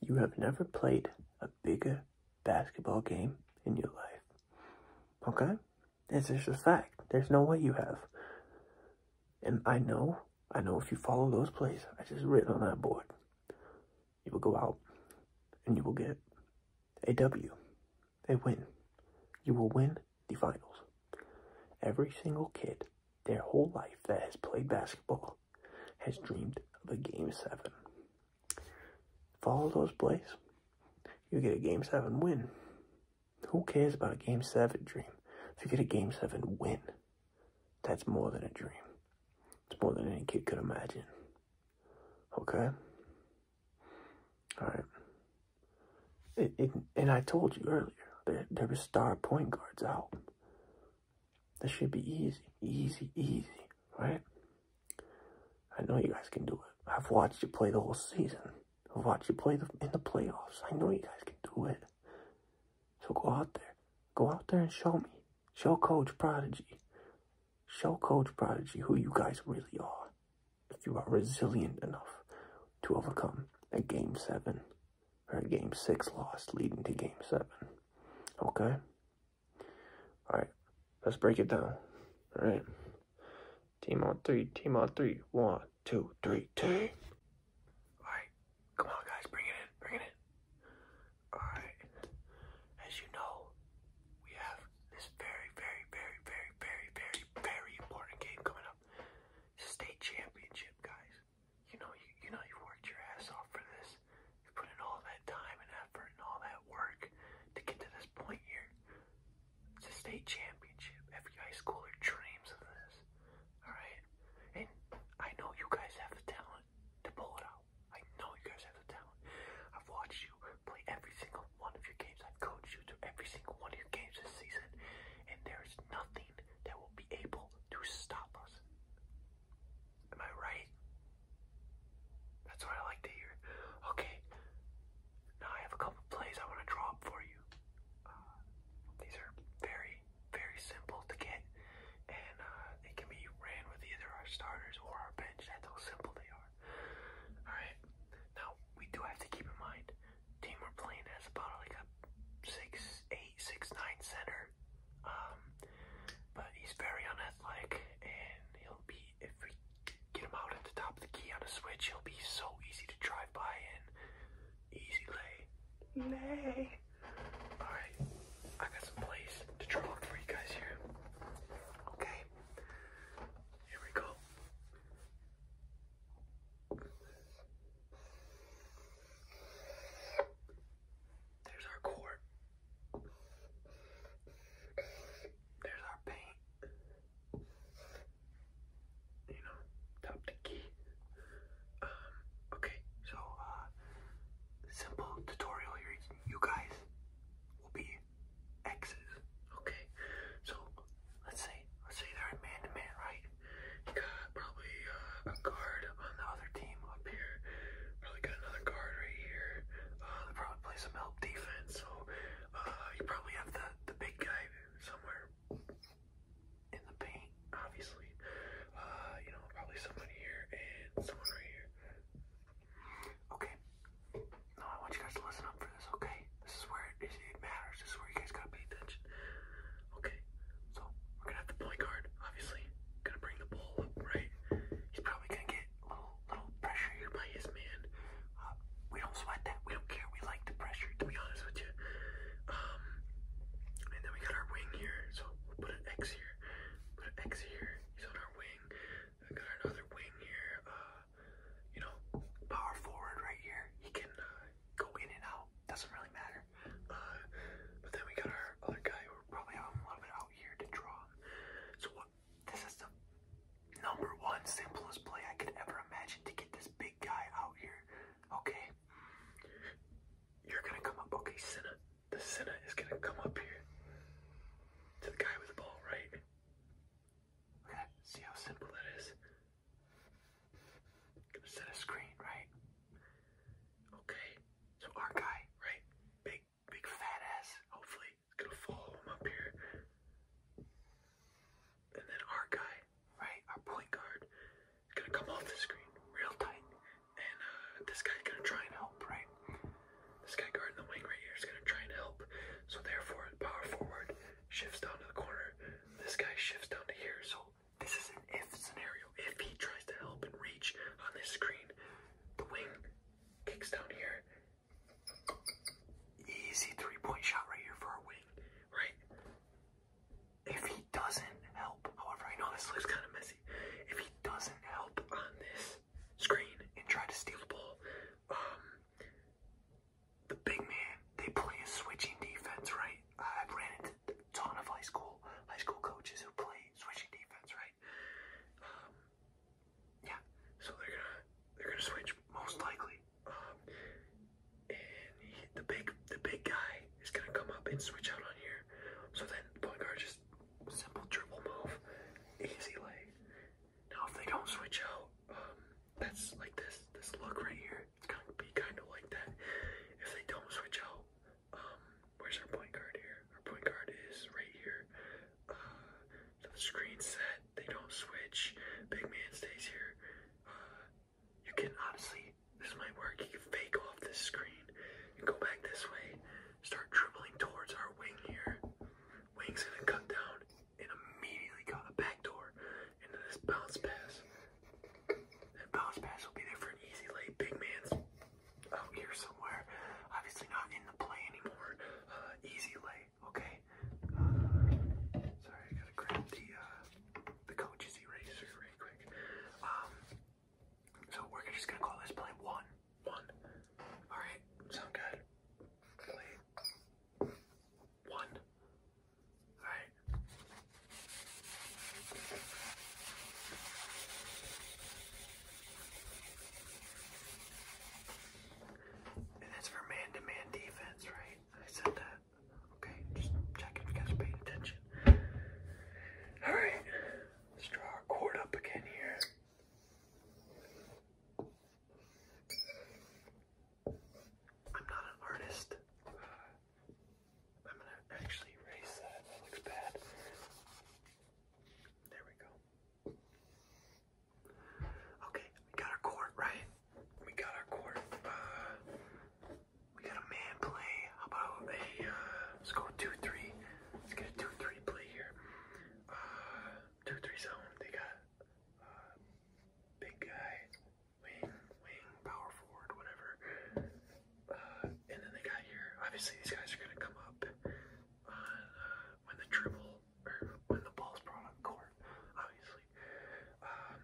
You have never played a bigger basketball game in your life. Okay? It's just a fact. There's no way you have. And I know, I know if you follow those plays I just written on that board, you will go out and you will get a W, they win. You will win the finals. Every single kid, their whole life that has played basketball, has dreamed of a game seven. Follow those plays, you get a game seven win. Who cares about a game seven dream? If you get a game seven win, that's more than a dream. It's more than any kid could imagine. Okay? All right. and I told you earlier, there, there were star point guards out. This should be easy, easy, easy, right? I know you guys can do it. I've watched you play the whole season. I've watched you play the, in the playoffs. I know you guys can do it. So go out there. Go out there and show me. Show Coach Prodigy. Show Coach Prodigy who you guys really are. If you are resilient enough to overcome a Game 7 or a Game 6 loss leading to Game 7. Okay? Alright, let's break it down. Alright. Team on three, team on three. One, two, three, Alright, come on guys, bring it in, bring it in. Alright. As you know, we have this very, very, very, very, very, very, very important game coming up. It's a state championship, guys. You know, you, know, you've worked your ass off for this. You put in all that time and effort and all that work to get to this point here. It's a state championship. Every high schooler dreams of this. All right, and I know you guys have the talent to pull it out. I know you guys have the talent. I've watched you play every single one of your games. I've coached you through every single one of your games this season, and there's nothing that will be able to stop us. Am I right? That's what I like to hear. Okay, now I have a couple plays I want to draw up for you. Uh, these are very, very simple to get, and uh, they can be ran with either our starters or our bench. That's how simple they are. Alright. Now we do have to keep in mind team we're playing has about like a six eight, six nine center. Um but he's very unathletic and he'll be if we get him out at the top of the key on a switch, he'll be so easy to drive by and easy lay. Lay. Alright, I got some plays to draw for you guys here. Okay. Here we go. There's our quart. There's our paint. You know, top the key. Um, okay, so uh, simple tutorial here. You guys will be X's. Okay, so let's say let's say they're in man to man, right? You got probably uh, a guard on the other team up here. Probably got another guard right here. Uh, they probably play some help defense, so uh, you probably have the the big guy somewhere in the paint, obviously. Uh, you know, probably someone here and someone right here. Okay. Now I want you guys to listen up for this, okay? This is where it, it matters. This is where you guys gotta pay attention. Okay. So we're gonna have the point guard, obviously. Gonna bring the ball right? He's probably gonna get little little pressure here by his man. Uh, we don't sweat that. We don't care. We like the pressure, to be honest with you. Um, and then we got our wing here, so we'll put an X here. Put an X here. He's on our wing. I got another wing here. Uh, you know, power forward right here. He can uh, go in and out. Doesn't really matter. Uh, but then we got our other guy who probably have him a out here to draw. So This is the number one simplest play I could ever imagine to get this big guy out here. Okay, you're gonna come up. Okay, Senna. The Senna is gonna come up here to the guy with the ball, right? see how simple that is? Gonna set a screen, right? Okay, so our guy, right? Big, big fat ass, hopefully, is gonna follow him up here. And then our guy, right? Our point guard gonna come off the screen real tight. And uh, this guy's gonna try and help, right? This guy guarding the wing right here is going to try and help. So therefore, power forward shifts down to the corner. This guy shifts down to here. So this is an if scenario. If he tries to help and reach on this screen, the wing kicks down here. Easy three-point shot right here for our wing, right? If he doesn't help, however, I know this looks kind of messy. If he doesn't help on this, screen and try to steal the ball. Um, the big man, they play a switching defense, right? I have ran into a ton of high school high school coaches who play switching defense, right? Um, yeah, so they're gonna they're gonna switch most likely. Um, and the big the big guy is gonna come up and switch out on here. So then the point guard just simple dribble move, easy lay, now if they don't switch out, um, that's like this this look right here. It's gonna be kind of like that. If they don't switch out, um, where's our point guard here? Our point guard is right here. Uh, so the screen set. They don't switch. Big man stays here. Uh, you can honestly, this might work. You can fake off this screen and go back this way. Start dribbling towards our wing here. Wing's gonna come down and immediately got a backdoor into this bounce pass. That bounce pass will be there for an easy lay. Big man's out here somewhere. Obviously not in the play anymore. Uh, easy lay, okay? Uh, sorry, I gotta grab the, uh, the coach's eraser right quick. Um, so we're just gonna call this play one. One. Alright, sound good? One. Alright. And that's for man to man defense, right? I said that. Okay, just checking you guys paying attention. Alright, let's draw our cord up again here. I'm not an artist. I'm gonna actually erase that. That looks bad. There we go. Okay, we got our court, right? We got our court. Uh, we got a man play. How about a, uh, let's go 2 3. Let's get a 2 3 play here. Uh, 2 3 zone. They got um, big guy, wing, wing, power forward, whatever. Uh, and then they got here. Obviously, these guys are gonna come up uh, when the dribble or when the ball's brought on court. Obviously. Um,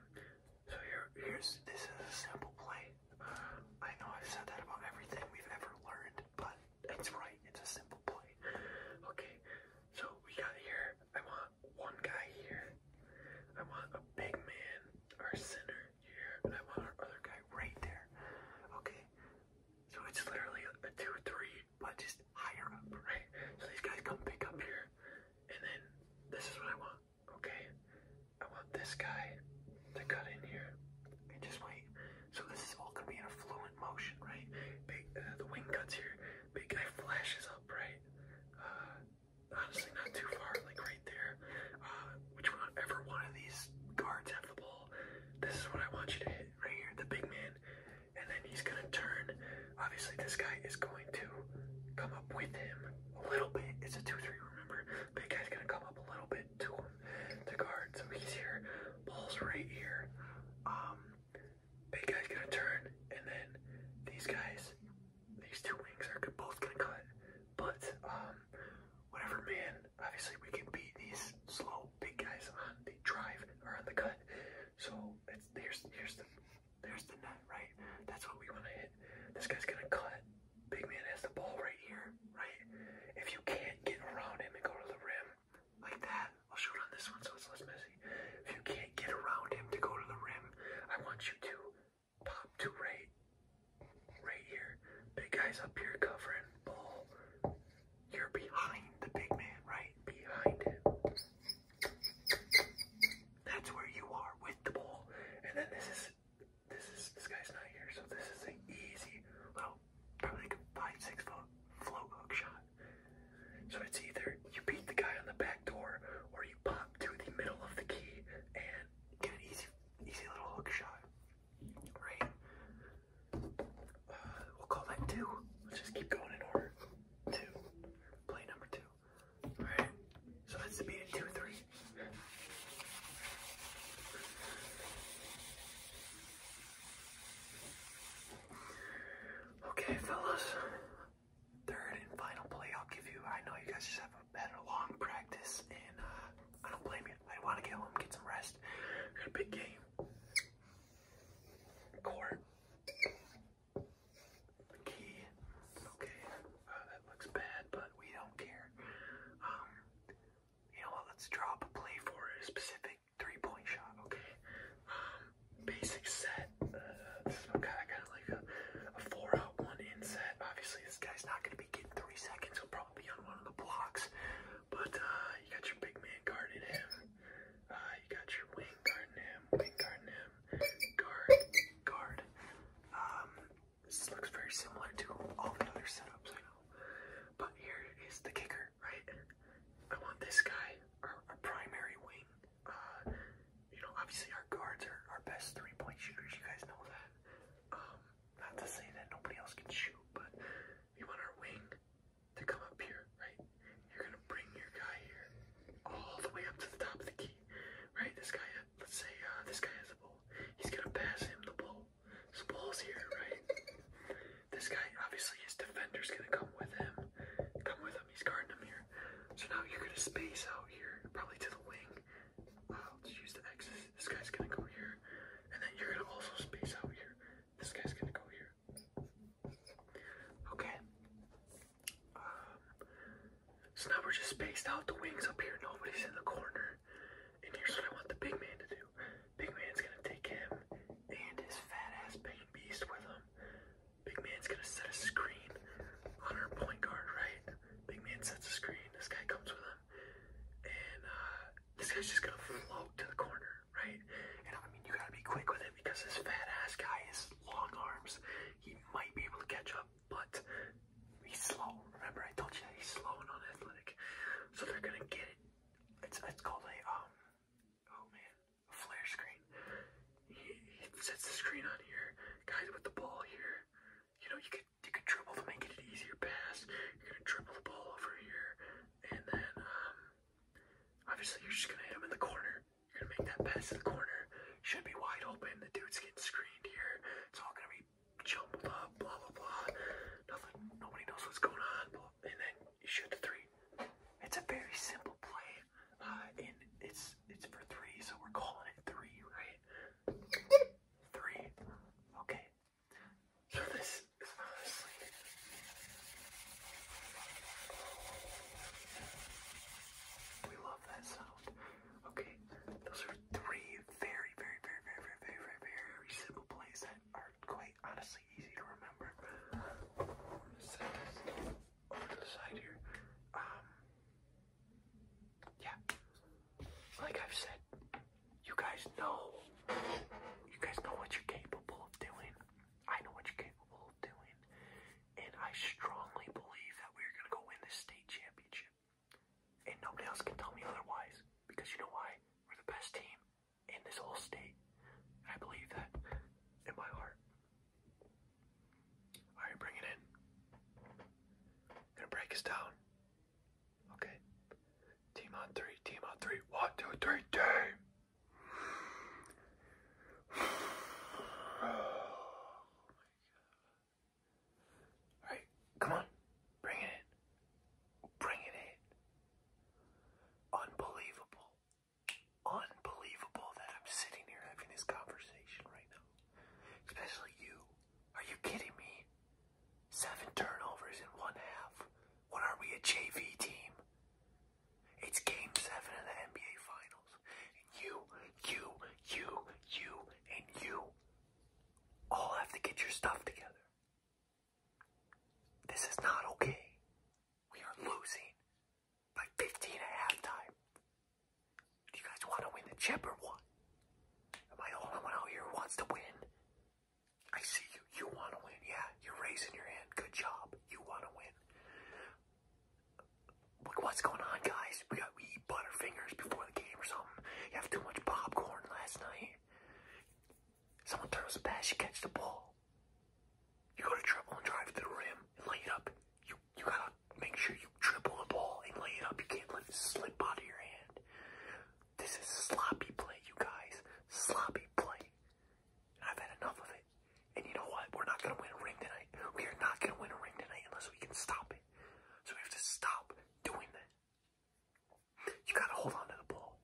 so here, here's this is a simple play. Uh, I know I've said that about everything we've ever learned, but it's right. It's a simple play. Okay, so we got here. I want one guy here. I want a big man, our center here, and I want our other guy right there. Okay. So it's literally a two, or three, but just higher up, right? So these guys come pick up here, and then this is what I want. Okay. I want this guy to cut in here and just wait. So this is all gonna be in a fluent motion, right? Uh, the wing cuts here. Big guy flashes up right, uh, honestly not too far, like right there. Uh, which one, ever one of these guards have the ball, this is what I want you to hit right here, the big man. And then he's gonna turn. Obviously, this guy is going to come up with him a little bit. It's a two-three. Remember, big guy's gonna come up a little bit to him guard. So he's here. Ball's right here. Um, Big guy's gonna turn, and then these guys, these two wings are both gonna cut. But um, whatever, man. Obviously, we can beat these slow big guys on the drive or on the cut. So it's there's here's the there's the net, right? That's what we want to hit. This guy's gonna cut. Big man has the ball right here, right? If you can't get around him and go to the rim, like that. I'll shoot on this one so it's less messy. If you can't get around him to go to the rim, I want you to pop to right, right here. Big guy's up here covering ball. You're behind the big man, right? Behind him. That's where you are with the ball. And then this is this is this guy's not here, so this is an easy little probably like a five, six foot float hook shot. So it's either you beat the guy on the back door or you pop to the middle of the key and get an easy easy little hook shot. Right? Uh, we'll call that two. Let's just keep going in order. Two. Play number two. Alright. So that's the beat two, three. Okay, fellas, third and final play I'll give you. I know you guys just have a better long practice, and uh, I don't blame you. I want to get home, get some rest. got a big game. Court. Key. Okay, uh, that looks bad, but we don't care. Um, you know what? Let's draw a play for specific three point shot, okay. Um, basic set. this is what I like a, four out one inset. Obviously, this guy's not gonna be getting three seconds. He'll probably be on one of the blocks. But uh, you got your big man guarding him. Uh, you got your wing guarding him. guarding him. Guard. Guard. Um, this looks very similar to all the other setups I know. But here is the kicker right? I want this guy, our, primary wing. Uh, you know, obviously our guards are our best three-point shooters. You guys know that. Um, not to say that nobody else can shoot, but you want our wing to come up here, right? You're gonna bring your guy here, all the way up to the top of the key, right? This guy, let's say uh, this guy has the ball. He's gonna pass him the ball. So ball's here, right? This guy, obviously, his defender's gonna come with him. Come with him. He's guarding him here. So now you're gonna space out here, probably to the wing. I'll just use the X's. This guy's gonna go here, and then you're gonna also space out here. This guy's gonna go here. Okay. Um, so now we're just spaced out. The wings up here. Nobody's in the corner. And here's what I want the big man to do. Big man's gonna take him and his fat ass pain beast with him. Big man's gonna set a screen on our point guard, right? Big man sets a screen. This guy comes with him, and uh, this guy's just gonna float to the corner, right? And I mean, you gotta be quick with it because this fat ass guy has long arms. He might be able to catch up, but he's slow. Remember, I told you that he's slow and athletic. So they're gonna get it. It's it's called a um. Oh man, flare screen. He, sets the screen on here. Guys with the ball here. You know, you could you could dribble to make it an easier pass. You're gonna dribble the ball over here, and then um, obviously you're just gonna hit him in the corner. You're gonna make that pass to the corner. Should be wide open. The dude's getting screened here. It's all gonna be jumbled up. Blah blah blah. Nothing. Nobody knows what's going on. Blah and then you shoot the three. It's a very simple play, uh, and it's it's for three, so we're calling it three, right? Three. Okay. So this is honestly. We love that sound. Okay, those are three very, very, very, very, very, very, very simple plays that are quite honestly easy to remember over to the side here. Um, yeah, like I've said, you guys know, you guys know what you're capable of doing. I know what you're capable of doing, and I strongly believe that we're gonna go win this state championship. And nobody else can tell me otherwise, because you know why? We're the best team in this whole state. I believe that in my heart. Alright, bring it in. gonna break us down. Okay. Team on three, team on three. One, two, three, Alright, come on. Bring it in. Bring it in. Unbelievable unbelievable that I'm sitting here having this conversation right now. Especially you. Are you kidding me? Seven turnovers in one half. What are we, a JV team? It's game seven of the NBA Finals. And you, you, you, you, and you all have to get your stuff together. This is not okay. We are losing by 15 at halftime. Do you guys want to win the chip or Am I the only one out here who wants to win? I see you. You want to win. Yeah, you're raising your hand. Good job. You want to win. Look what's going on, guys. We got we eat Butterfingers before the game or something. You have too much popcorn last night. Someone throws a pass, you catch the ball. You gotta triple and drive to the rim and lay it up. You you gotta make sure you triple the ball and lay it up. You can't let it slip out of your hand. This is sloppy play, you guys. Sloppy play. I've had enough of it. And you know what? We're not gonna win a ring tonight. We are not gonna win a ring tonight unless we can stop it. So we have to stop doing that. You gotta hold on to the ball.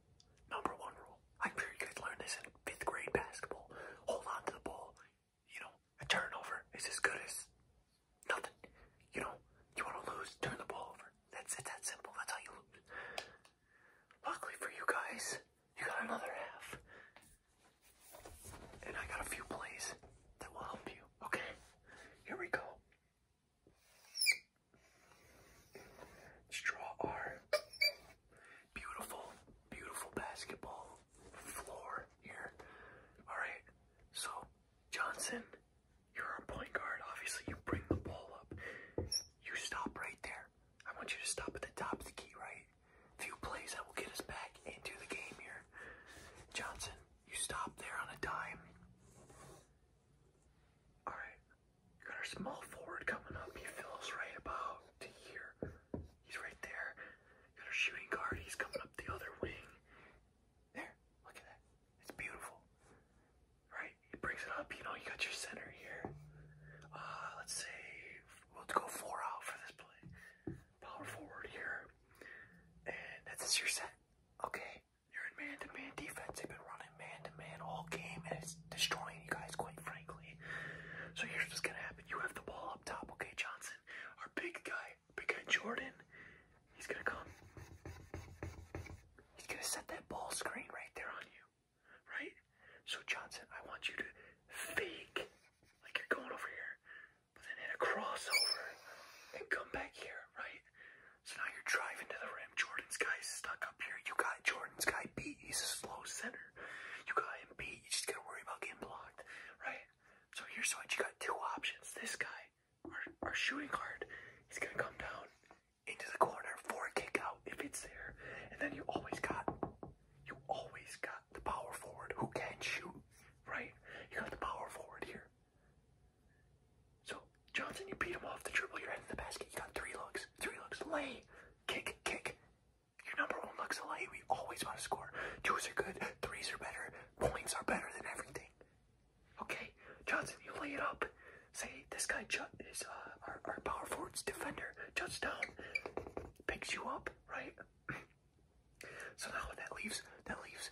Number one rule. I'm sure you guys learned this in fifth grade basketball. Hold on to the ball. You know, a turnover is as good as nothing. You know, you want to lose, turn the ball over. That's it's That simple. That's how you lose. Luckily for you guys, you got another half, and I got a few plays that will help you. Okay, here we go. Let's draw our Beautiful, beautiful basketball floor here. Alright, so Johnson, you're our point guard. Obviously, you bring the ball up. You stop right there. I want you to stop at the top of the key, right? A Few plays that will get us back into the game here. Johnson, you stop there on a dime. Alright, got our small forward coming up. He fills right about to here. He's right there. Got a shooting guard. He's coming up the other wing. There. Look at that. It's beautiful. Right? He brings it up. You know, you got your center here. Uh, let's say we'll go four out for this play. Power forward here. And that's just your set. Okay. You're in man-to-man defense. They've been running man to -man all game, and it's destroying you guys, quite frankly. So here's what's gonna happen: you have the ball up top, okay, Johnson, our big guy, big guy Jordan. He's gonna come. He's gonna set that ball screen right there on you, right? So Johnson, I want you to fake like you're going over here, but then hit a crossover and come back here, right? So now you're driving to the rim. Jordan's guy's stuck up here. You got Jordan's guy beat. He's a slow center. You got him beat. You just gotta worry about getting blocked, right? So here's what you got two options. This guy, our, shooting guard, he's gonna come down into the corner for a kick out if it's there. And then you always got you always got the power forward who can shoot, right? You got the power forward here. So Johnson, you beat him off the dribble, you're heading the basket, you got three looks, three looks, lay, kick, kick, your number one looks a We always want to score. Twos are good. Threes are better. Points are better than everything. Okay, Johnson, you lay it up. Say this guy Judd is uh, our, our power forwards defender. Judd's down, picks you up, right? so now that leaves that leaves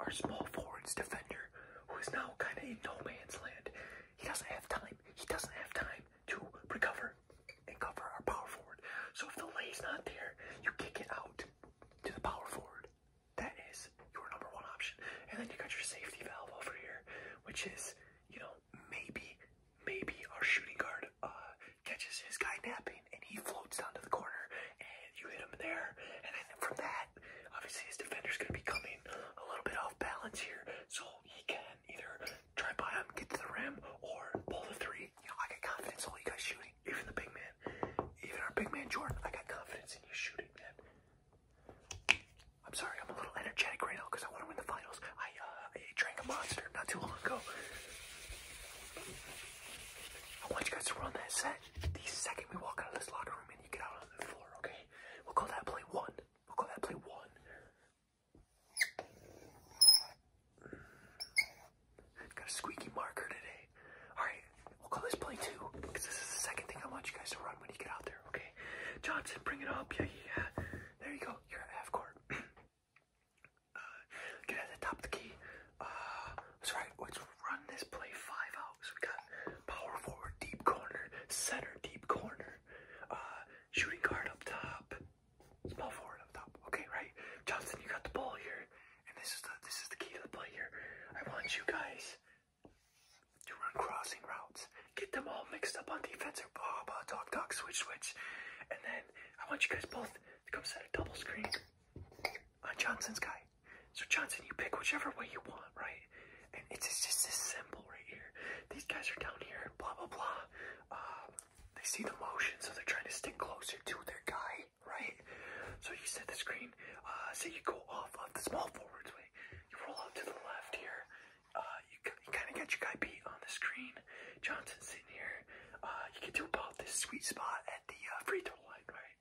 our small forwards defender, who is now kind of in no man's land. He doesn't have time. He doesn't have time to recover and cover our power forward. So if the lay's not there, you kick it out to the power forward. That is your number one option. And then you got your safety valve over here, which is, you know, maybe, maybe our shooting guard uh, catches his guy napping and he floats down to the corner and you hit him there. And then from that, obviously his defender's going to be coming a little bit off balance here. So he can either try by him, get to the rim, or pull the three. You I got confidence all you guys shooting. Even the big man, even our big man Jordan, I got confidence in you shooting, man. I'm sorry, I'm a little energetic right now because I want to win the finals. I uh, I drank a monster not too long ago. I want you guys to run that set. The second we walk out of this locker room and you get out on the floor, okay? We'll call that play one. We'll call that play one. Got a squeaky marker today. Alright, we'll call this play two, because this is the second thing I want you guys to run when you get out there, okay? Johnson, bring it up. Yeah, yeah, There you go. You're at half court. Uh, get at the top of the key. Uh, that's right. Let's run this play five out. So we got power forward, deep corner, center, deep corner, uh, shooting guard up top, small forward up top. Okay, right? Johnson, you got the ball here. And this is the this is the key to the play here. I want you guys to run crossing routes. Get them all mixed up on defense or blah oh, blah talk talk switch switch. And then I want you guys both to come set a double screen on Johnson's guy. So Johnson, you pick whichever way you want, right? And it's, just this symbol right here. These guys are down here, blah blah blah. Um, they see the motion, so they're trying to stick closer to their guy, right? So you set the screen. Uh, so you go off of the small forwards way. You roll out to the left here. Uh, you, kind of get your guy beat on the screen. Johnson's sitting here. Uh, you get to about this sweet spot at the free throw line, right?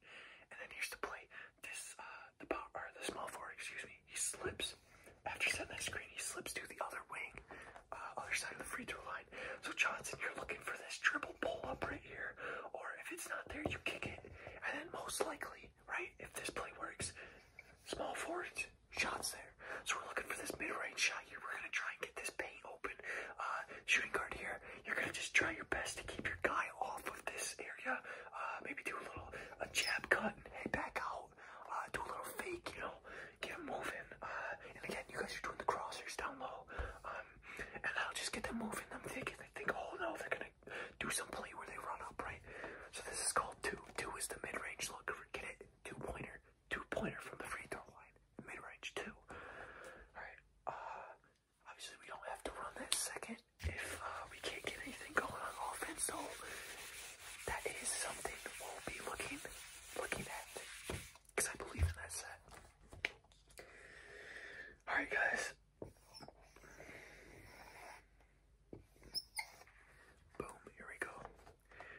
And then here's the play. This, uh, the power, or the small forward, excuse me. He slips. After setting that screen, he slips to the other wing, uh, other side of the free throw line. So Johnson, you're looking for this triple pull up right here, or if it's not there, you kick it. And then most likely, right, if this play works, small forwards, shots there. So we're looking for this mid-range shot here. We're gonna try and get this paint open. Uh, shooting guard here. You're gonna just try your best to keep your guy off of this area. Uh, maybe do a little a jab cut and head back out out, uh, do a little fake, you know, get them moving. Uh, and again, you guys are doing the crossers down low, um, and i will just get them moving. Them thinking, they think, oh no, they're gonna do some play where they run up, right? So this is called two. Two is the mid-range look. Get it? Two pointer, two pointer from the free throw line, mid-range two. All right. Uh, obviously we don't have to run that second if uh, we can't get anything going on offense, So That is something we'll be looking looking at because I believe in that set. Alright, guys. Boom, here we go.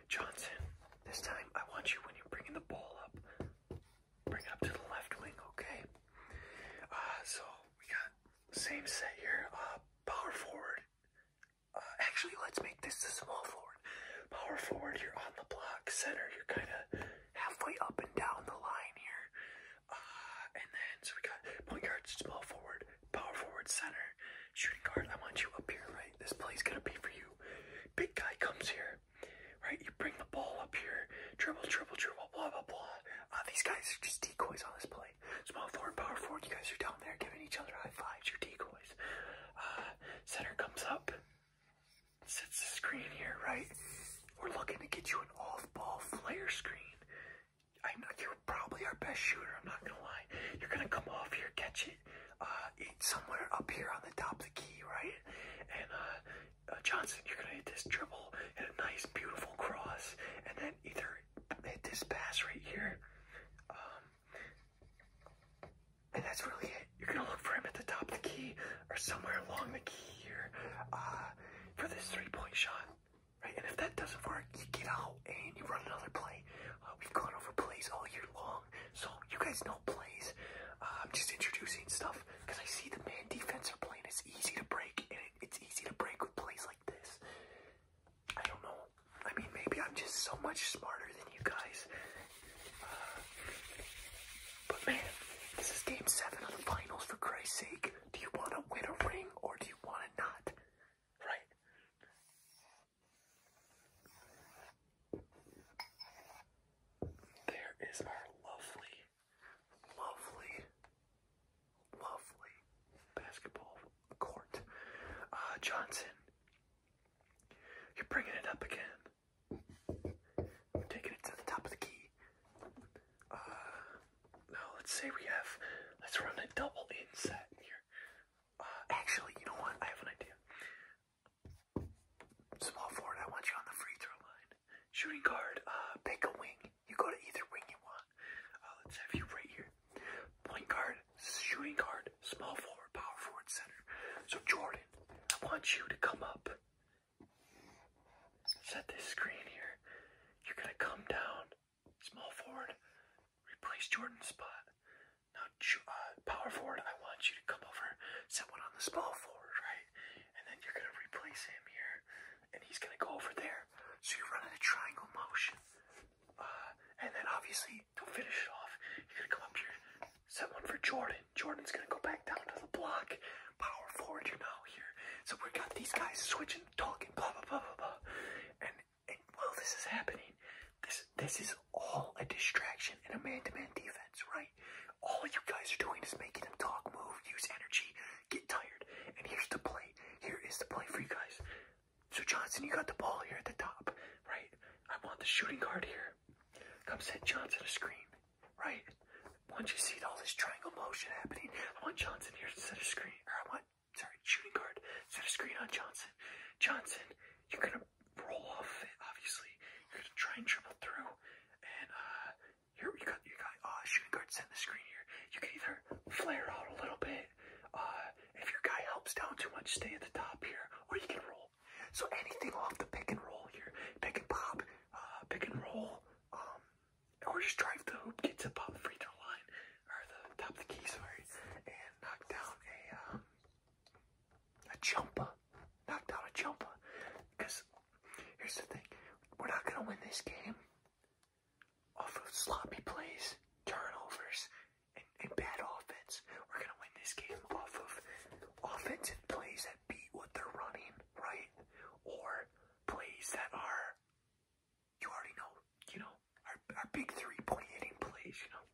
Johnson, this time I want you when you're bringing the ball up, bring it up to the left wing, okay? Uh, so we got same set here. Uh, power forward, uh, actually, let's make this a small forward. Power forward, you're on the block. Center, you're kind of halfway up and down the line here. Uh, and then, so we got point guard, small forward, power forward, center, shooting guard. I want you up here, right? This play's going to be for you. Big guy comes here, right? You bring the ball up here, dribble, dribble, dribble, blah, blah, blah. Uh, these guys are just decoys on this play. Small forward, power forward, you guys are down there giving each other high fives. You're decoys. Uh, center comes up, sets the screen here, right? We're looking to get you an off-ball flare screen. I know you're probably our best shooter. I'm not gonna lie. You're gonna come off here, catch it, uh, somewhere up here on the top of the key, right? And uh, uh, Johnson, you're gonna hit this dribble hit a nice, beautiful cross, and then either hit this pass right here, um, and that's really it. You're gonna look for him at the top of the key or somewhere along the key here uh, for this three-point shot, right? And if that doesn't work, you get out and you run another play. Uh, we've gone over plays all year long, so you guys know plays. Uh, I'm just introducing stuff because I see the man defense are playing. It's easy to break, and it's easy to break with plays like this. I don't know I mean, maybe I'm just so much smarter than you guys. Uh, but man, this is game seven of the finals, for Christ's sake. Do you want to win a ring or do you want to not? Right? There is our lovely, lovely, lovely basketball court. Uh, Johnson, you're bringing it up again. I'm taking it to the top of the key. Uh, now let's say we have, let's run a double inset here. Uh, actually, you know what? I have an idea. Small forward, I want you on the free throw line. Shooting guard, uh, pick a wing. You go to either wing you want. Uh, let's have you right here. Point guard, shooting guard, small forward, power forward, center. So Jordan, I want you to come up. Set this screen here. You're gonna come down, small forward, replace Jordan's spot. Now, uh, power forward, I want you to come over, set one on the small forward, right? And then you're gonna replace him here, and he's gonna go over there. So you're running a triangle motion. Uh, and then obviously don't finish it off. You're gonna go up here, set one for Jordan. Jordan's gonna go back down to the block. Power forward, you're here. So we got these guys switching, talking, blah blah blah blah blah. And and while this is happening, this this is all a distraction in a man to -man defense, right? All you guys are doing is making them talk, move, use energy, get tired. And here's the play. Here is the play for you guys. So Johnson, you got the ball here at the top, right? I want the shooting guard here. Come set Johnson a screen, right? Once you see all this triangle motion happening, I want Johnson here to set a screen. Or I want, sorry, shooting guard, set a screen on Johnson. Johnson, you're gonna roll off it, obviously. You're gonna try and dribble through, and uh, here you got, you got, uh, shooting guard set the screen here. You can either flare out a little bit, uh, if your guy helps down too much, stay at the top here, or you can roll so anything off the pick and roll here, pick and pop, uh, pick and roll, um, or just drive the hoop, get to pop free throw line, or the top of the key, sorry, and knock down a um, a jumper, knock down a jumper. Because here's the thing, we're not gonna win this game off of sloppy plays, turnovers, and, bad offense. We're gonna win this game off of offensive plays that beat what they're running, right? Or plays that are you already know, you know, our, our big three point hitting plays, you know.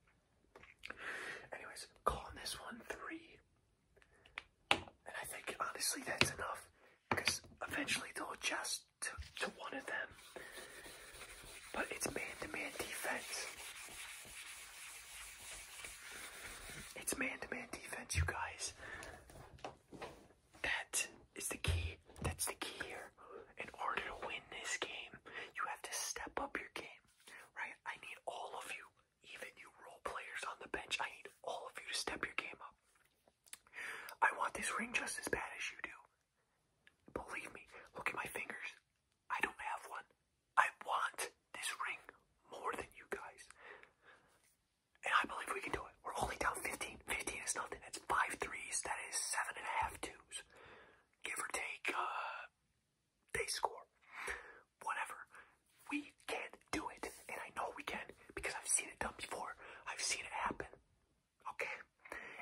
Anyways, calling this one three. And I think honestly that's enough because eventually they'll adjust to, to one of them but it's man-to-man defense. It's man-to-man defense, you guys. That is the key. That's the key here. In order to win this game, you have to step up your game, right? I need all of you, even you role players on the bench. I need all of you to step your game up. I want this ring just as bad as you do. Believe me, look at my fingers. I don't have one. I want this ring more than you guys. And I believe we can do it. We're only down 15. 15 is nothing. That's five threes. That is seven and a half twos. Give or take, uh, they score. Whatever. We can do it. And I know we can because I've seen it done before. I've seen it happen. Okay?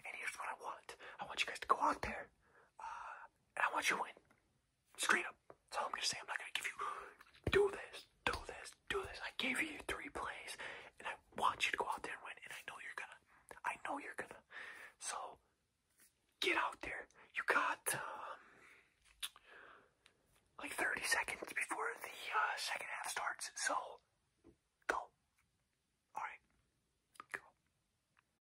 And here's what I want. I want you guys to go out there. Uh, I want you to win. Straight up. That's all I'm gonna say. I'm not gonna give you do this, do this, do this. I gave you three plays, and I want you to go out there and win. And I know you're gonna. I know you're gonna. So get out there. You got um, like 30 seconds before the uh, second half starts. So go. All right, go.